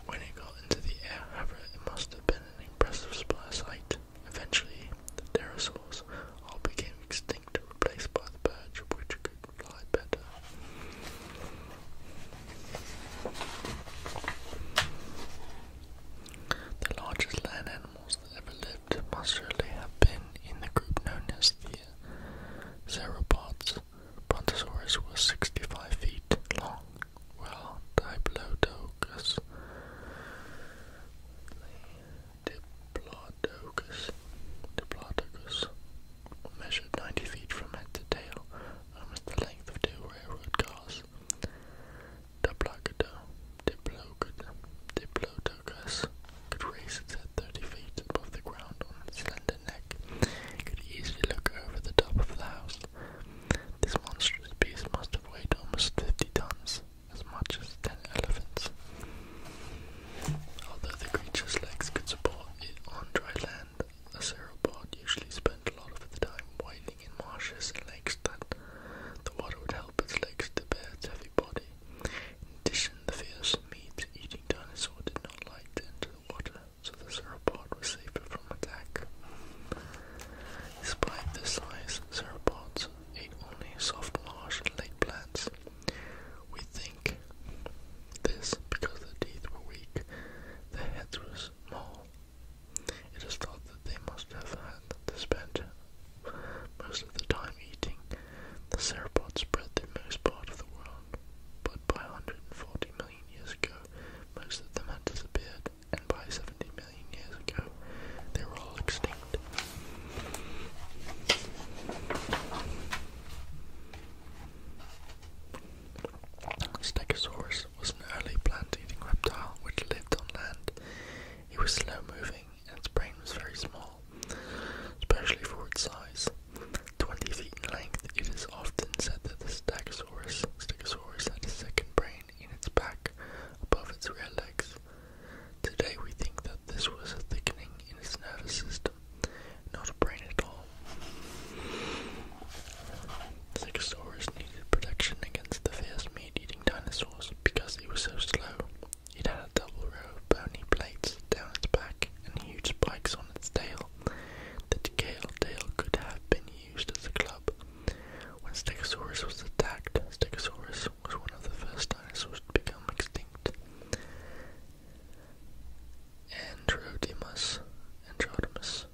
When it got into the air, however, it must have been an impressive sight. Eventually, pterosaurs all became extinct, replaced by the birds, which could fly better. The largest land animals that ever lived must surely have been in the group known as the Sauropods. Brontosaurus was 65 feet long, while Diplodocus, Diplodocus, Diplodocus measured 90 feet from head to tail, almost the length of two railroad cars. The the the Diplodocus, Diplodocus could raise its head 30 feet above the ground on its slender neck. It could easily look over the top of the house. This monstrous beast must have weighed almost 50 tons, as much as 10 elephants. Although the creature's legs could support it on dry land, a sauropod usually spent a lot of the time wading in marshes and lakes that the water would help its legs to bear its heavy body. In addition, the fierce meat-eating dinosaur did not like to enter the water, so the sauropod was safer from attack. Despite their size, sauropods ate only soft marsh and lake plants. We think this because their teeth were weak, their heads were small, it is thought that they must have had to spend most of the time eating. The sauropods spread through most part of the world, but by 140 million years ago, most of them had disappeared, and by 70 million years ago, they were all extinct. Stegosaurus t was an early plant-eating reptile which lived on land. It was slow-moving and its brain was very small, especially for its size. 20 feet in length, it is often said that the Stegosaurus, Stegosaurus had a second brain in its back above its rear legs. Today we think that this was a thickening in its nervous system, not a brain at all. Stegosaurus needed protection against the fierce meat-eating dinosaurs because it was so slow. It had a double row of bony plates down its back and huge spikes on its tail. The tail could have been used as a club. When Stegosaurus was attacked, Stegosaurus was one of the first dinosaurs to become extinct. Androdemus, Androdemus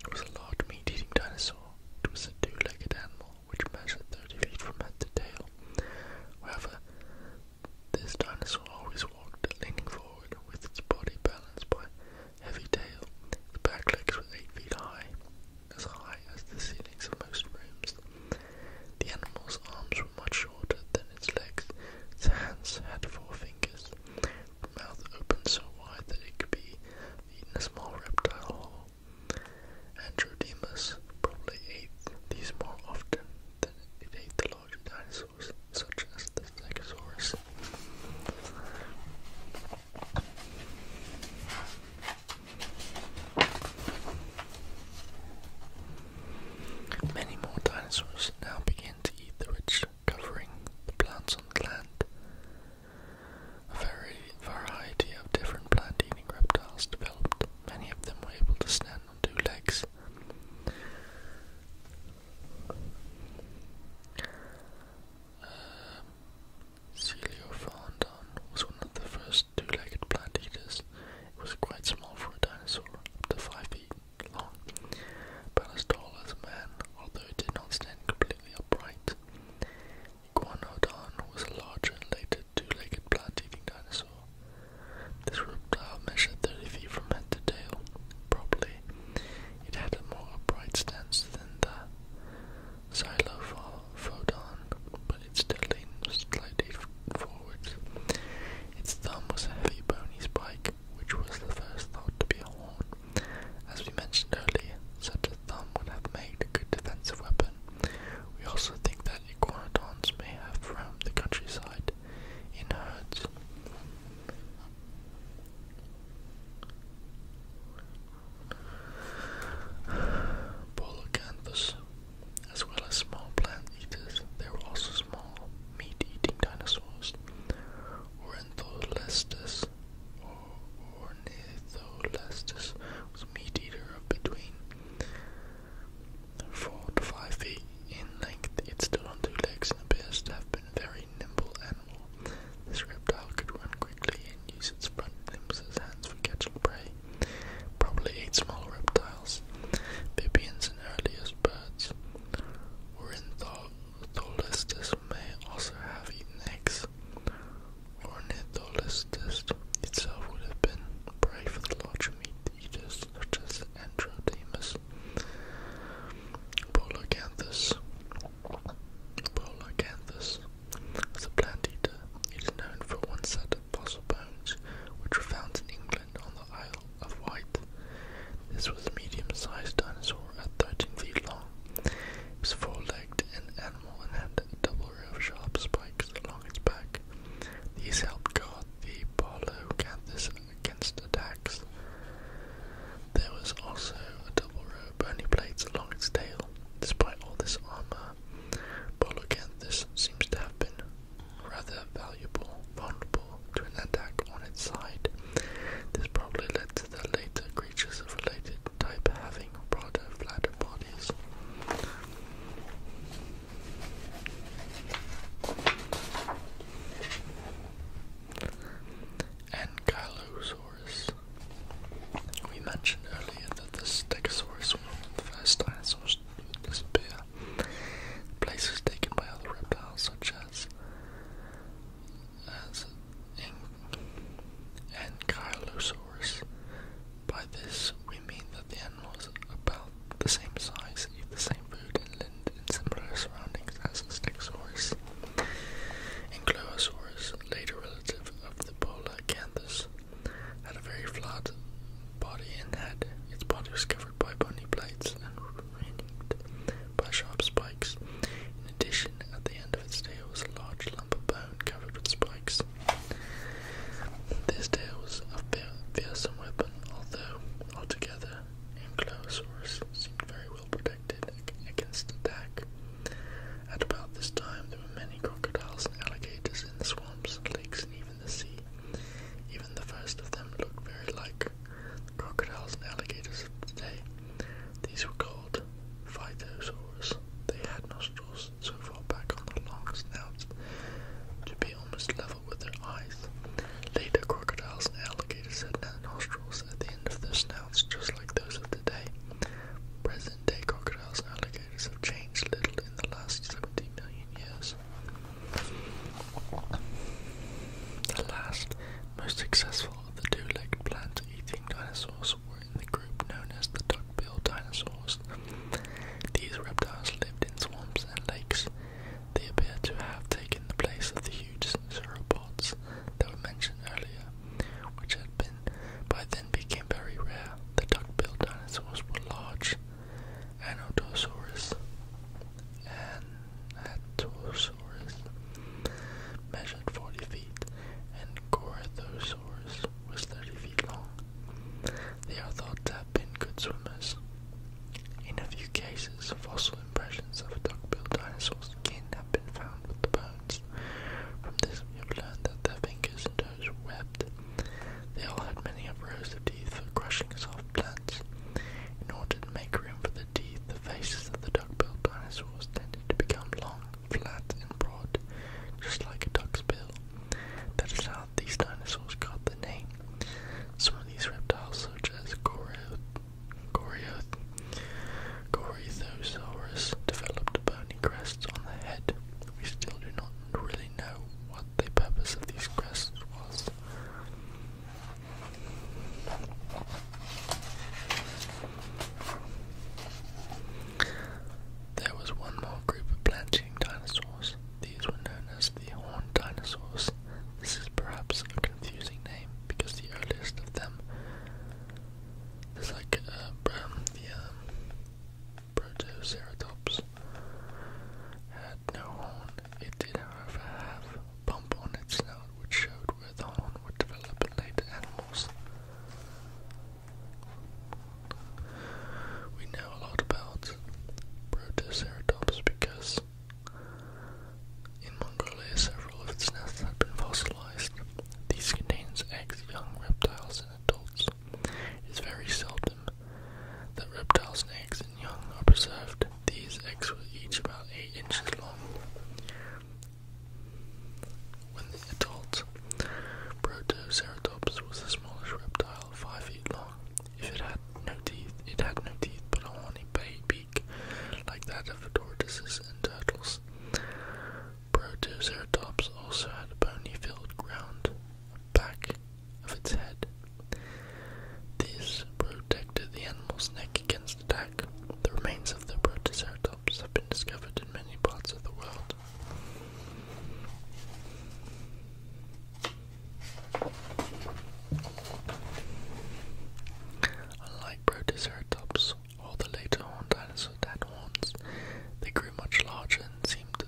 it was a large meat-eating dinosaur. It was a two-legged animal which measured 30 feet from head to tail. However, this dinosaur always walked leaning forward with its body balanced by heavy tail. The back legs were 8 feet high, as high as the ceilings of most rooms. The animal's arms were much shorter than its legs. Its hands had four fingers, mouth opened so wide that it could be eaten a small reptile whole. Androdemus probably ate these more often than it ate the larger dinosaurs, such as the Stegosaurus. Many more dinosaurs now began to eat the rich covering the plants on the land, a variety of different plant-eating reptiles developed. Many of them were able to stand on two legs. Um, Celeophondon was one of the first two-legged plant eaters. It was quite small for a dinosaur, up to five feet long, but as tall as a man, although it did not stand completely upright. Iguanodon was a larger and later two-legged plant-eating dinosaur. This reptile measured 30 feet from head to tail. Probably, it had a more upright stance than the Xylophodon, but it still leaned slightly forwards. Its thumb was a heavy bony spike, which was the first thought to be a horn. As we mentioned earlier, such a thumb would have made a good defensive weapon. We also think that iguanodonts may have roamed the countryside in herds. Polocanthus, as well as small plant eaters, there were also small meat-eating dinosaurs. Ornitholestes, or Ornitholestes was a meat eater of between four to five feet in length. It stood on two legs and appears to have been a very nimble animal. This reptile could run quickly and use its front limbs as hands for catching prey. Probably ate small reptiles, Bibians and earliest birds. Ornitholestes may also have eaten eggs. Ornitholestes itself would have been prey for the larger meat eaters such as Androdemus, Polacanthus. Polacanthus was a plant eater. It is known for one set of fossil bones which were found in England on the Isle of Wight. This was a medium-sized dinosaur at 13 feet long. It was four-legged and animal and had a double row of sharp spikes along its back. These helped guard the Parlocanthus against attacks. There was also a double row of bony plates along its tail. Despite all this armor, Parlocanthus seems to have been rather valuable, vulnerable to an attack on its side. This probably led the later creatures of related type having broader, flatter bodies. Ankylosaurus. We mentioned earlier that the Stegosaurus, one of the first dinosaurs to disappear, places taken by other reptiles such as as an ankylosaurus. By this, we mean that the animals about the same size, eat the same food, and lived in similar surroundings as a stegosaurus. Ankylosaurus, later relative of the Polacanthus, had a very flat body and head. Its body was covered by bony plates and ringed by sharp spikes. In addition, at the end of its tail was a large lump of bone covered with spikes. This tail a fearsome weapon, although altogether Ankylosaurus seemed very well protected against attack. At about this time, there were many crocodiles and alligators in the swamps, lakes, and even the sea. Even the first of them looked very like the crocodiles and alligators of today. These were called called They had nostrils so far back on their long snouts to be almost level with their eyes. Later, crocodiles and alligators had nostrils at the end of their snouts, just like those of today. Present day crocodiles and alligators have changed little in the last 70 million years. The last, most successful of the two legged plant eating dinosaurs were the group known as the duck-billed dinosaurs. These reptiles lived in swamps and lakes. They appear to have taken the place of the huge sauropods that were mentioned earlier, which had been by then became very rare. The duck-billed dinosaurs were large Ankylosaurus Anatosaurus measured 40 feet and Gorthosaurus Tyrannosaurus was 30 feet long. They are thought to have been good swimmers. In a few cases, fossil impressions of duck-billed dinosaurs' skin have been found with the bones. From this, we have learned that their fingers and toes were webbed. They all had many rows of teeth for crushing soft plants. In order to make room for the teeth, the faces of the duck-billed dinosaurs tended to become long flat and broad, just like a duck's bill. That is how these dinosaurs got the name. Some of these reptiles, such as Gorioth, Gorioth, Gorithosaurus, developed bony crests on the head. We still do not really know what the purpose of these crests was. There was one more group of plant-eating dinosaurs. These were known as the horned dinosaurs. This is perhaps a confusing name because the earliest of them, is like uh, the um, had no horn. It did, however, have a bump on its snout, which showed where the horn would develop in later animals. We know a lot about Protoceratops because in Mongolia several of its nests have been fossilized. These contain eggs, young reptiles, and adults. It is very seldom that reptiles and eggs and young are preserved. These eggs were each about 8 inches long. When the adult Protoceratops was a smallish reptile, five feet long. If it had no teeth, it had no teeth but a horny beak, like that of tortoises and turtles. Protoceratops also had a bony-filled ground back of its head. This protected the animal's neck against attack. The remains of the Protoceratops have been discovered in many parts of the world. Unlike Protoceratops or the later horned dinosaurs that they grew much larger and seemed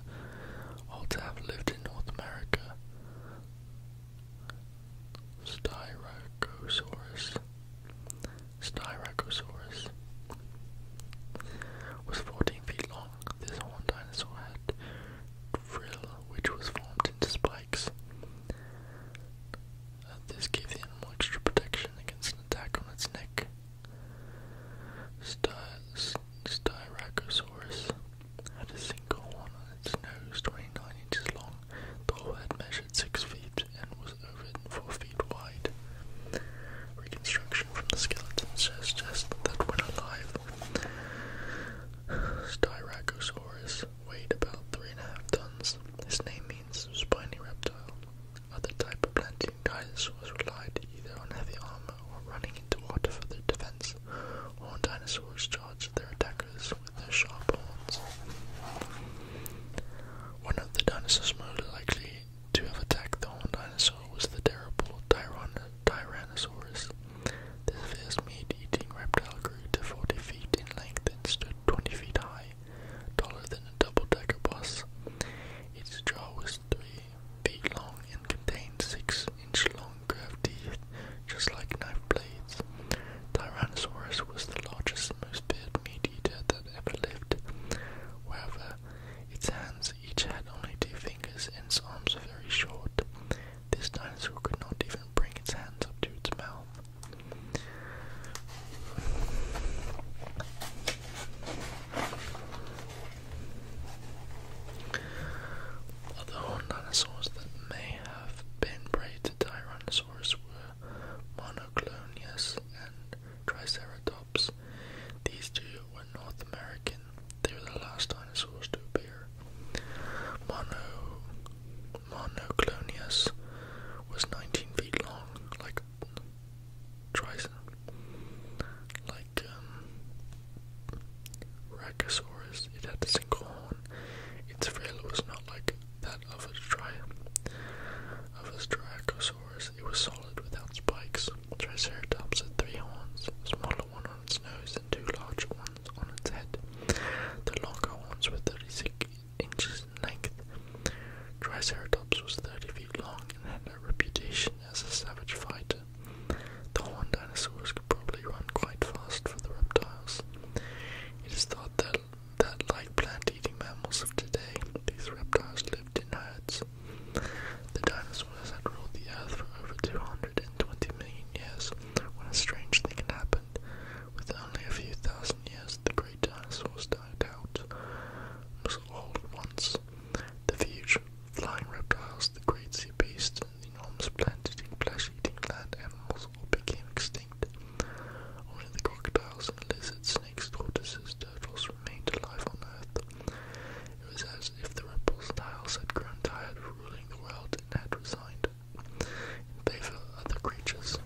all to have lived in North America. Styracosaurus Styracosaurus was 14 feet long. This horned dinosaur had frill which was formed into spikes. Uh, this gave the animal extra protection against an attack on its neck. Sty Styracosaurus had a single horn on its nose, 29 inches long. The whole had measured 6 feet and was four feet wide. Reconstruction from the skeleton suggests that when alive, Styracosaurus weighed about three and a half tons. Its name means spiny reptile. Other type of plant planting dinosaurs relied either on heavy armor or running into water for their defense. Horned dinosaurs charged their attackers with their sharp horns. One of the dinosaurs most likely to have attacked the own dinosaur was the terrible Tyrannosaurus. This fierce meat-eating reptile grew to 40 feet in length and stood 20 feet high, taller than a double-decker bus. Its jaw was 3 feet long and contained 6-inch-long curved teeth, just like knife blades. Tyrannosaurus was the largest and most feared meat-eater that ever lived. However, its hands each had only two fingers and its arms were very short. This dinosaur could not even bring its hands up to its mouth. Other dinosaurs that may have been prey to Tyrannosaurus were Monoclonius and Triceratops. These two were North American. They were the last dinosaurs to appear. Mono, Monoclonius was 19 feet long, like Trison, like um, It had a single horn. Its tail was not like that of a tri it was solid without spikes. Triceratops had three horns, a smaller one on its nose and two larger ones on its head. The longer horns were 36 inches in length. Triceratops was 30 feet long and had a reputation as a savage fighter. The horned dinosaurs could probably run quite fast for the reptiles. It is thought that like plant-eating mammals of today, these reptiles lived in herds, the dinosaurs had ruled the earth for over 220 million years when a strange thing happened. Within only a few thousand years, the great dinosaurs died out. all at once. The huge flying reptiles, the great sea beasts, and the enormous plant-eating, flesh-eating land animals all became extinct. Only the crocodiles and lizards, snakes, tortoises, turtles remained alive on Earth. It was as if the reptiles had grown tired of ruling the world and had resigned in favor of other creatures.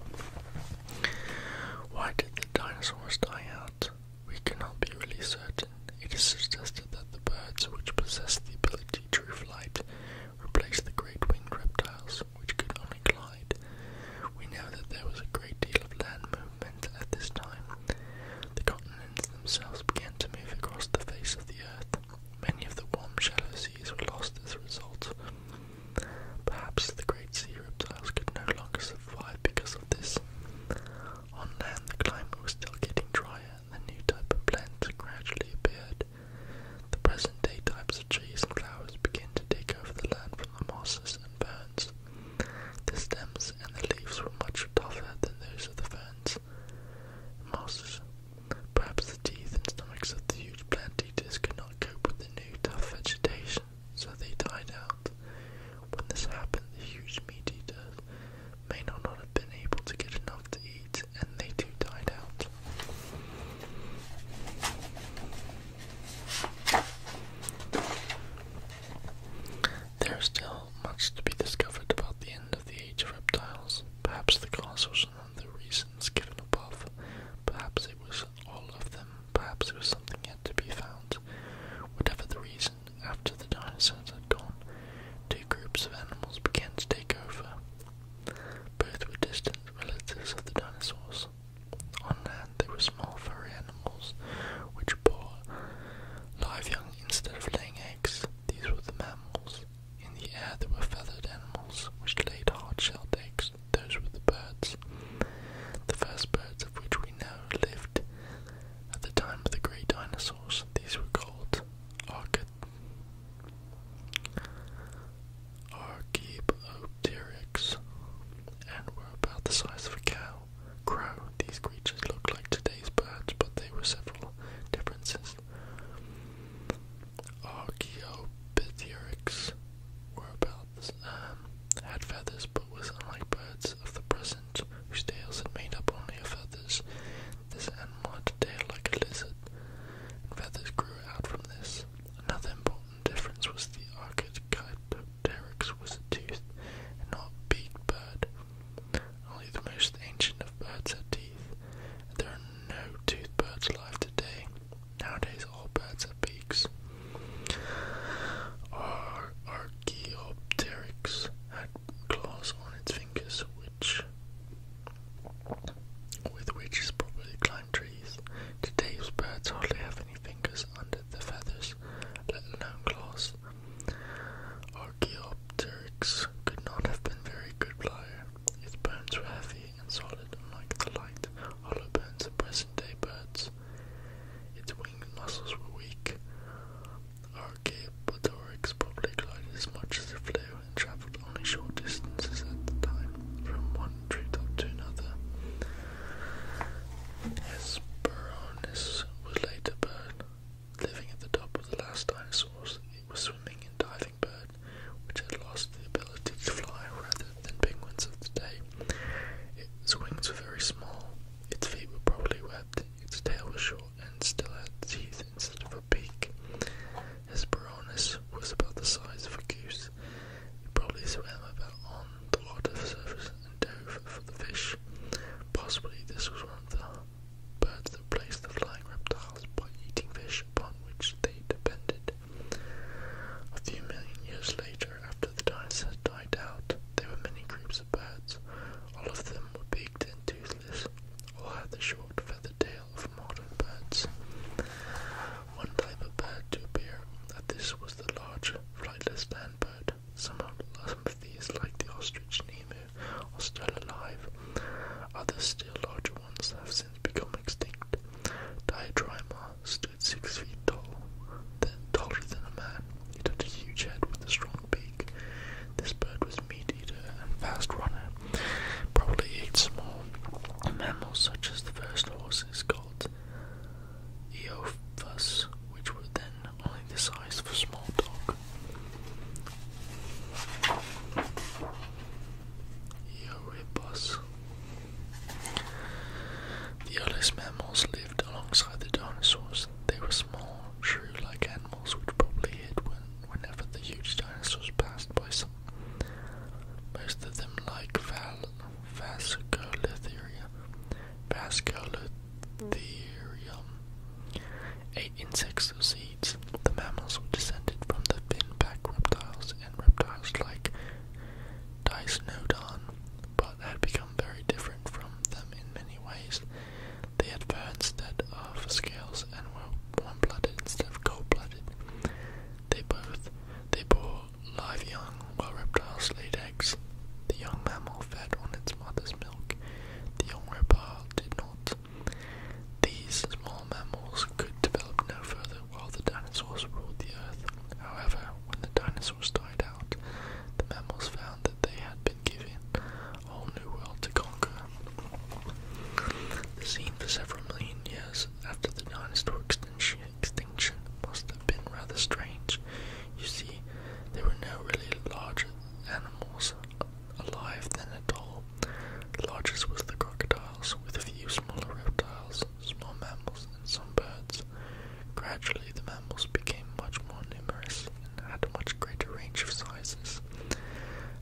Why did the dinosaurs die out? We cannot be really certain. It is suggested that the birds, which possessed the ability to fly, replaced the great winged reptiles, which could only glide. We know that there was a great deal of land movement at this time, the continents themselves began to move across the face of the earth. Many of the warm, shallow seas were lost as a result. Perhaps the great sea reptiles could no longer survive because of this. On land, the climate was still getting drier, and a new type of plants gradually appeared. The present day types of trees and flowers began to take over the land from the mosses and ferns. The stems and the leaves were much tougher than those of the ferns and Perhaps the teeth and stomachs of the huge plant eaters could not cope with the new tough vegetation, so they died out. When this happened, the huge meat eaters may not have been able to get enough to eat, and they too died out. There is still much to be discovered about the end of the age of reptiles. Perhaps the cause was none of the reasons given above. Perhaps it was all of them. Perhaps it was something yet to be found. Whatever the reason, after the dinosaurs had gone, two groups of animals began to take over. Both were distant relatives of the dinosaurs. On land, they were small furry animals which bore live young instead of laying eggs. These were the mammals. In the air there were feathered animals which laid hard-shelled eggs. Those were the birds. The first birds of which we know lived at the time of the great dinosaurs. These were called Archaeopteryx and were about the size of a cow crow. These creatures looked like today's birds, but they were several differences. Archaeopteryx were um, had feathers, but was unlike birds of the present, whose tails had made up only of feathers. This animal had a tail like a lizard, and feathers grew out from this. Another important difference was the archetype Derek's was a toothed not beaked bird. Only the most ancient of birds have teeth, and there are no toothed birds alive today. Nowadays, all birds have beaks. Our Archaeopteryx had claws on its fingers, which with which is probably climbed trees. Today's birds hardly have any fingers under the feathers, let alone claws players. Archaeopteryx could not have been very good flyer. Its bones were heavy and solid, unlike the light, hollow bones of present-day birds. Its wing muscles were weak. Archaeopteryx probably glided as much as it flew and travelled only short distances at the time, from one treetop to another. Hesperonychus was later burned Living at the top of the last dinosaurs, it was swimming and diving bird, which had lost the ability to fly rather than penguins of today, Its wings were very small, its feet were probably webbed, its tail was short and still had teeth instead of a beak. Its Hesperornis was about the size of a goose. It probably swam about on the water surface dove for the fish. Possibly this was one of the birds that placed the flying reptiles by eating fish upon which they depended. A few million years later, after the dinosaurs died out, there were many groups of birds. All of them were beaked and toothless, All had the short feathered tail of modern birds. One type of bird to appear at this was the large flightless land bird, some of, these, like the ostrich and are still alive. Others, still larger ones, have since become extinct. Diadrima stood six feet tall, then taller than a man. It had a huge head with a strong beak. This bird was meat eater and fast runner. Probably ate small mammals such as the first horses called Eophus, which were then only the size of a small dog. Euripus. The earliest mammals lived alongside the dinosaurs. They were small, shrew-like animals which probably hid when, whenever the huge dinosaurs passed by some. Most of them like Val Vasculithria. Megatherium. Eight insects seeds. The mammals were descended from the fin-back reptiles and reptiles like Dysnodon, but had become very different from them in many ways. They had fur of scales and were warm-blooded instead of cold-blooded. They both they bore live young, while reptiles laid the young mammal fed on its mother's milk. The young reptile did not. These small mammals could develop no further while the dinosaurs ruled the earth. However, when the dinosaurs died out, the mammals found that they had been given a new world to conquer. The scene for several million years after the dinosaur extinction, must have been rather strange. You see, there were no really larger animals alive then at all. Largest was the crocodiles, with a few smaller reptiles, small mammals, and some birds. Gradually, the mammals became much more numerous and had a much greater range of sizes.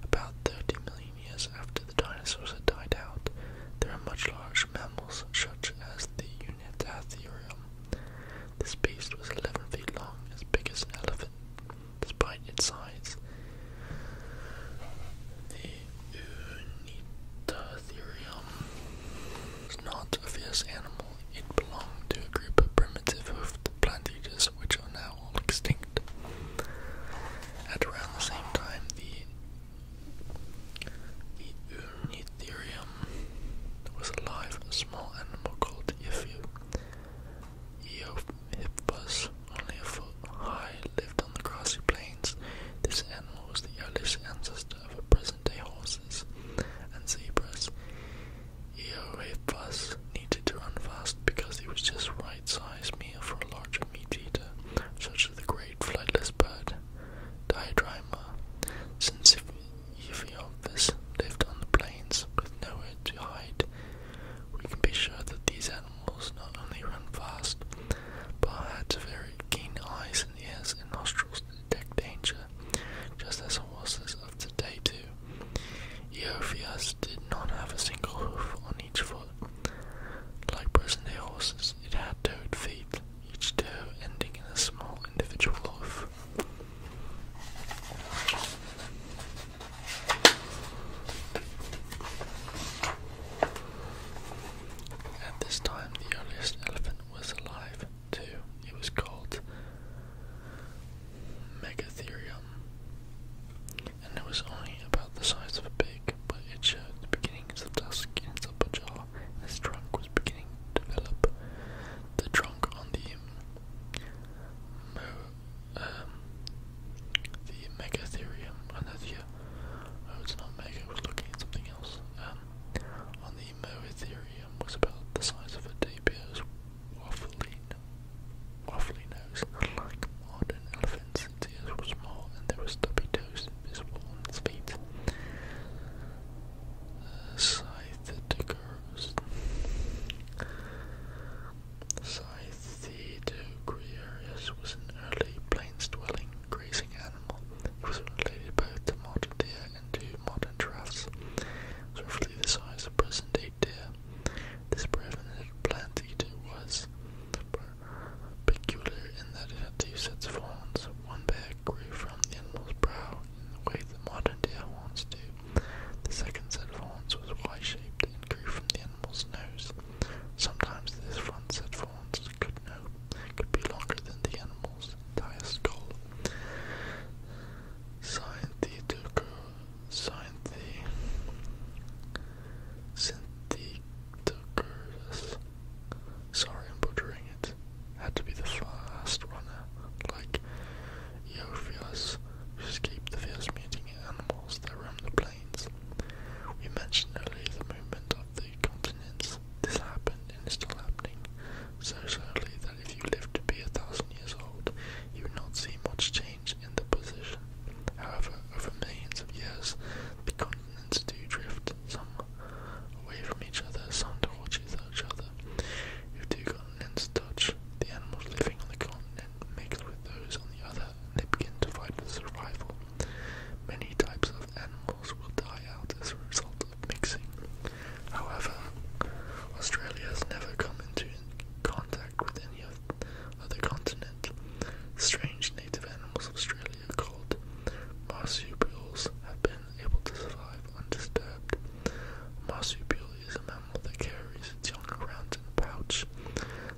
About 30 million years after the dinosaurs had died out, there are much larger mammals such as the Unitatherium. This beast was 11 feet long, as big as an elephant, despite its size. The Unitatherium was not a fierce animal. It belonged to a group of primitive hoofed plant which are now all extinct. At around the same time, the, the was alive a small animal called Ifu. Eohippus, only a foot high, lived on the grassy plains. This animal was the earliest ancestor of present-day horses and zebras. Eohippus needed to run fast because he was just right-sized meal for a larger meat-eater, such as the great flightless bird, Diadrima. If Every Elvis lived on the plains with nowhere to hide. We can be sure that these animals not only run fast, but had very keen eyes and ears and nostrils to detect danger, just as horses of today do. Eophias did not have a single hoof on each foot. Like present day horses, it had two feet, each toe ending in a small individual hoof move. At this time, the earliest elephant was alive, too. It was called Megatherium, and it was only about the size of a pig, but it showed the beginnings of dusk in its upper jaw, and its trunk was beginning to develop. The trunk on the Mo um, the Megatherium, and that's here. Uh, oh, it's not Mega, I was looking at something else. Um, on the Moetherium was about the size of a tapir's waffly, waffly nose, like modern elephants. Its ears were small, and there were stubby toes visible on its feet. Uh, Scyther first. Cythedocrius was an early plains-dwelling grazing animal. It was related both to modern deer and to modern giraffes. It was roughly the size of present-day deer. This preeminent plant eater was peculiar in that it had two sets of horns. One pair grew from the animal's brow in the way the modern deer wants to. The second set of horns was Y-shaped and grew from the animal's nose. Sometimes this front set of horns could, be longer than the animal's entire skull. Synthetic, synthetic, syntheticus. Sorry, I'm butchering it. Had to be the fast runner, like Eophios, which escaped the fierce-meeting animals that roam the plains. We mentioned earlier the movement of the continents. This happened and is still happening so slowly that if you live to be a thousand years old, you will not see much change in the position. However, over millions of years, the continents do drift, some away from each other, some towards each other each other. If two continents touch, the animals living on the continent mix with those on the other, and they begin to fight for survival. Many types of animals will die out as a result of mixing. However, Australia has never come into contact with any other continent. Strange native animals of Australia called marsupials have been able to survive undisturbed. A marsupial is that carries its young around in a pouch.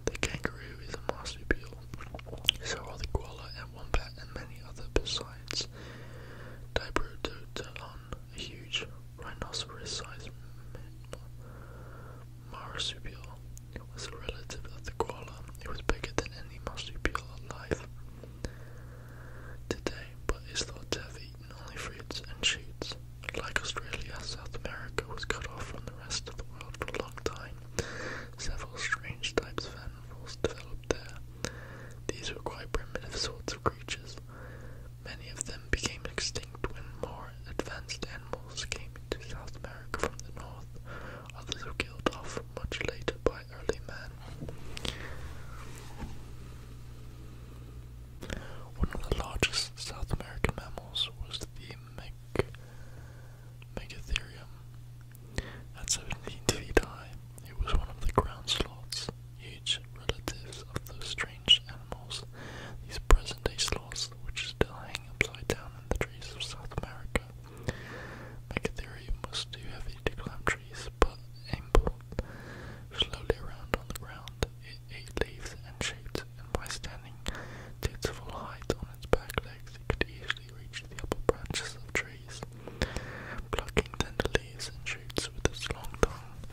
The kangaroo is a marsupial, so are the koala and wombat and many other besides. Diprotodon, a huge rhinoceros-sized marsupial, was a relative of the koala. It was bigger than any marsupial alive today, but is thought to have only fruits and shoots. Like Australia, South America was cut off from the rest of the world for a long time. Several strange types of animals developed there. These were quite primitive sorts of creatures. Many of them became extinct when more advanced animals came to South America from the north. Others were killed off much later by early man. One of the largest South American mammals was the Meg Megatherium. At 17 feet high, it was one of the ground sloths, huge relatives of those strange animals, these present day sloths which still hang upside down in the trees of South America. Megatherium was too heavy to climb trees, but ambled slowly around on the ground, it ate leaves and shoots, and by standing to full height on its back legs, it could easily reach the upper branches of trees, plucking tender leaves and shoots with its long tongue.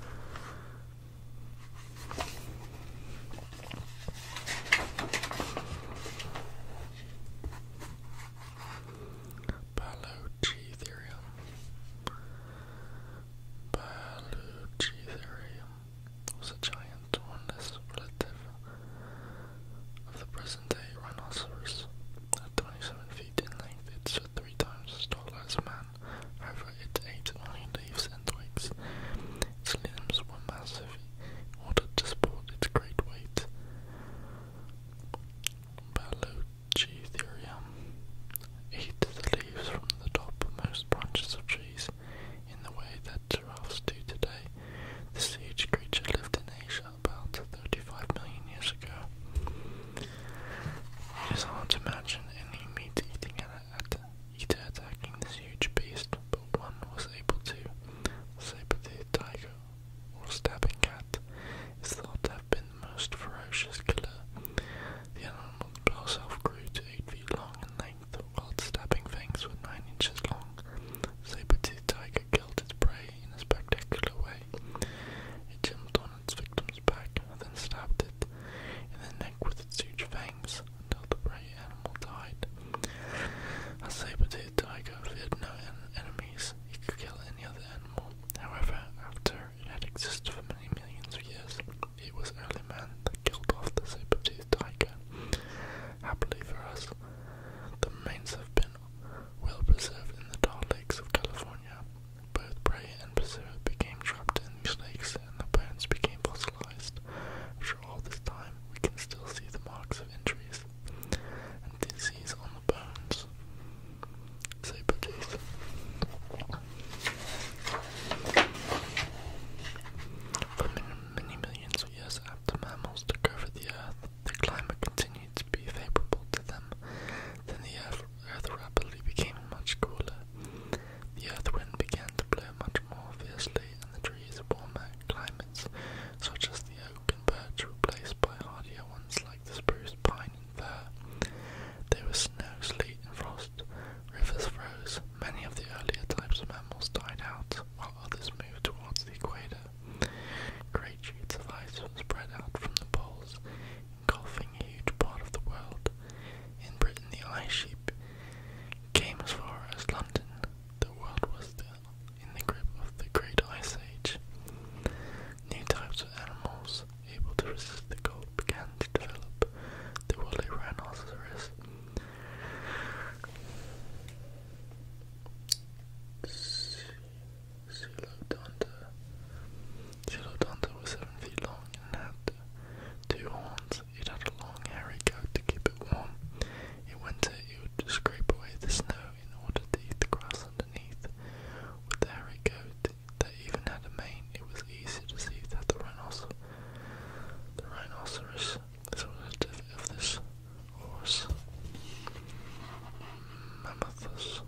Balochitherium Berluci theory was a giant hornless of the present-day rhinoceros. At 27 feet in length, it's three times as tall as man. However, it ate only leaves and twigs. Its limbs were massive in order to support its great weight. Berluci Eat the leaves from the topmost branches of trees in the way that giraffes do today. This huge creature lived in Asia about 35 million years ago. It is hard to imagine any meat eating at eater attacking this huge beast, but one was able to. The saber-toothed tiger, or stabbing cat, is thought to have been the most ferocious killer the animal's bell self grew to 8 feet long in length, while its stabbing fangs were 9 inches long. Saber-toothed tiger killed its prey in a spectacular way. It jumped on its victim's back then stabbed it in the neck with its huge fangs until the prey animal died. A saber-toothed tiger feared no enemies. It could kill any other animal. However, after it had existed for many millions of years, he was early man that killed off the saber-toothed tiger. Happily for us, the remains have been well preserved in the Dark Lakes of California. Both prey and pursuer became trapped in these lakes, and the bones became fossilized. After all this time, we can still see the marks of injuries and disease on the bones. Saber-tooth. For many millions of years after mammals took over the Earth, the climate continued to be favorable to them. Then the Earth, rapidly became much cooler. The earth wind began to blow much more fiercely, and the trees of warmer climates, such as the oak and birch, were replaced by hardier ones like the spruce, pine, and fir. There was snow, sleet, and frost. Rivers froze. Many of the earlier types of mammals died out, while others moved towards the equator. Great sheets of ice were spread out from the poles, engulfing a huge part of the world. In Britain, the ice sheet came as far as London. The world was the, in the grip of the Great Ice Age. New types of animals able to resist the cold began to develop the woolly rhinoceros. Pseudodonta. Pseudodonta was seven feet long and had two horns. It had a long hairy coat to keep it warm. In winter, it would scrape away the snow in order to eat the grass underneath. With the hairy coat, that even had a mane, it was easy to see that the rhinoceros, the rhinoceros is a relative of this horse. Mammothus.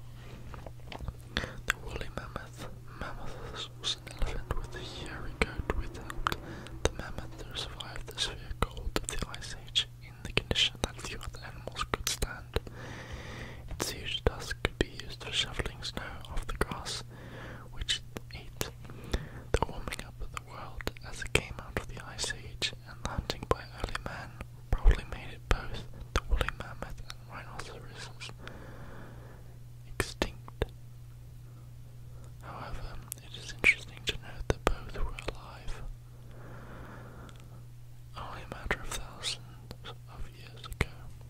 The woolly mammoth, mammothus, was an elephant with a hairy coat which helped the mammoth survived the severe cold of the Ice Age in the condition that few other animals could stand. Its huge tusks could be used for shoveling snow off the grass which ate the warming up of the world as it came out of the Ice Age, and hunting by early man probably made it both the woolly mammoth and rhinoceroses extinct. However, it is interesting to note that both were alive only a matter of thousands of years ago.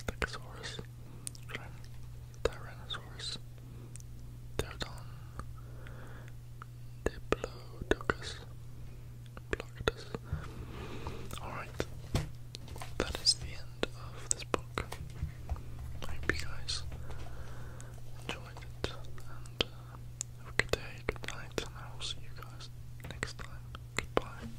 Stegosaurus, Tyrannosaurus, Pterodon, Diplodocus, Plocodus. Alright, that is the end of this book. I hope you guys enjoyed it, uh, have a good day, good night, and I will see you guys next time. Goodbye.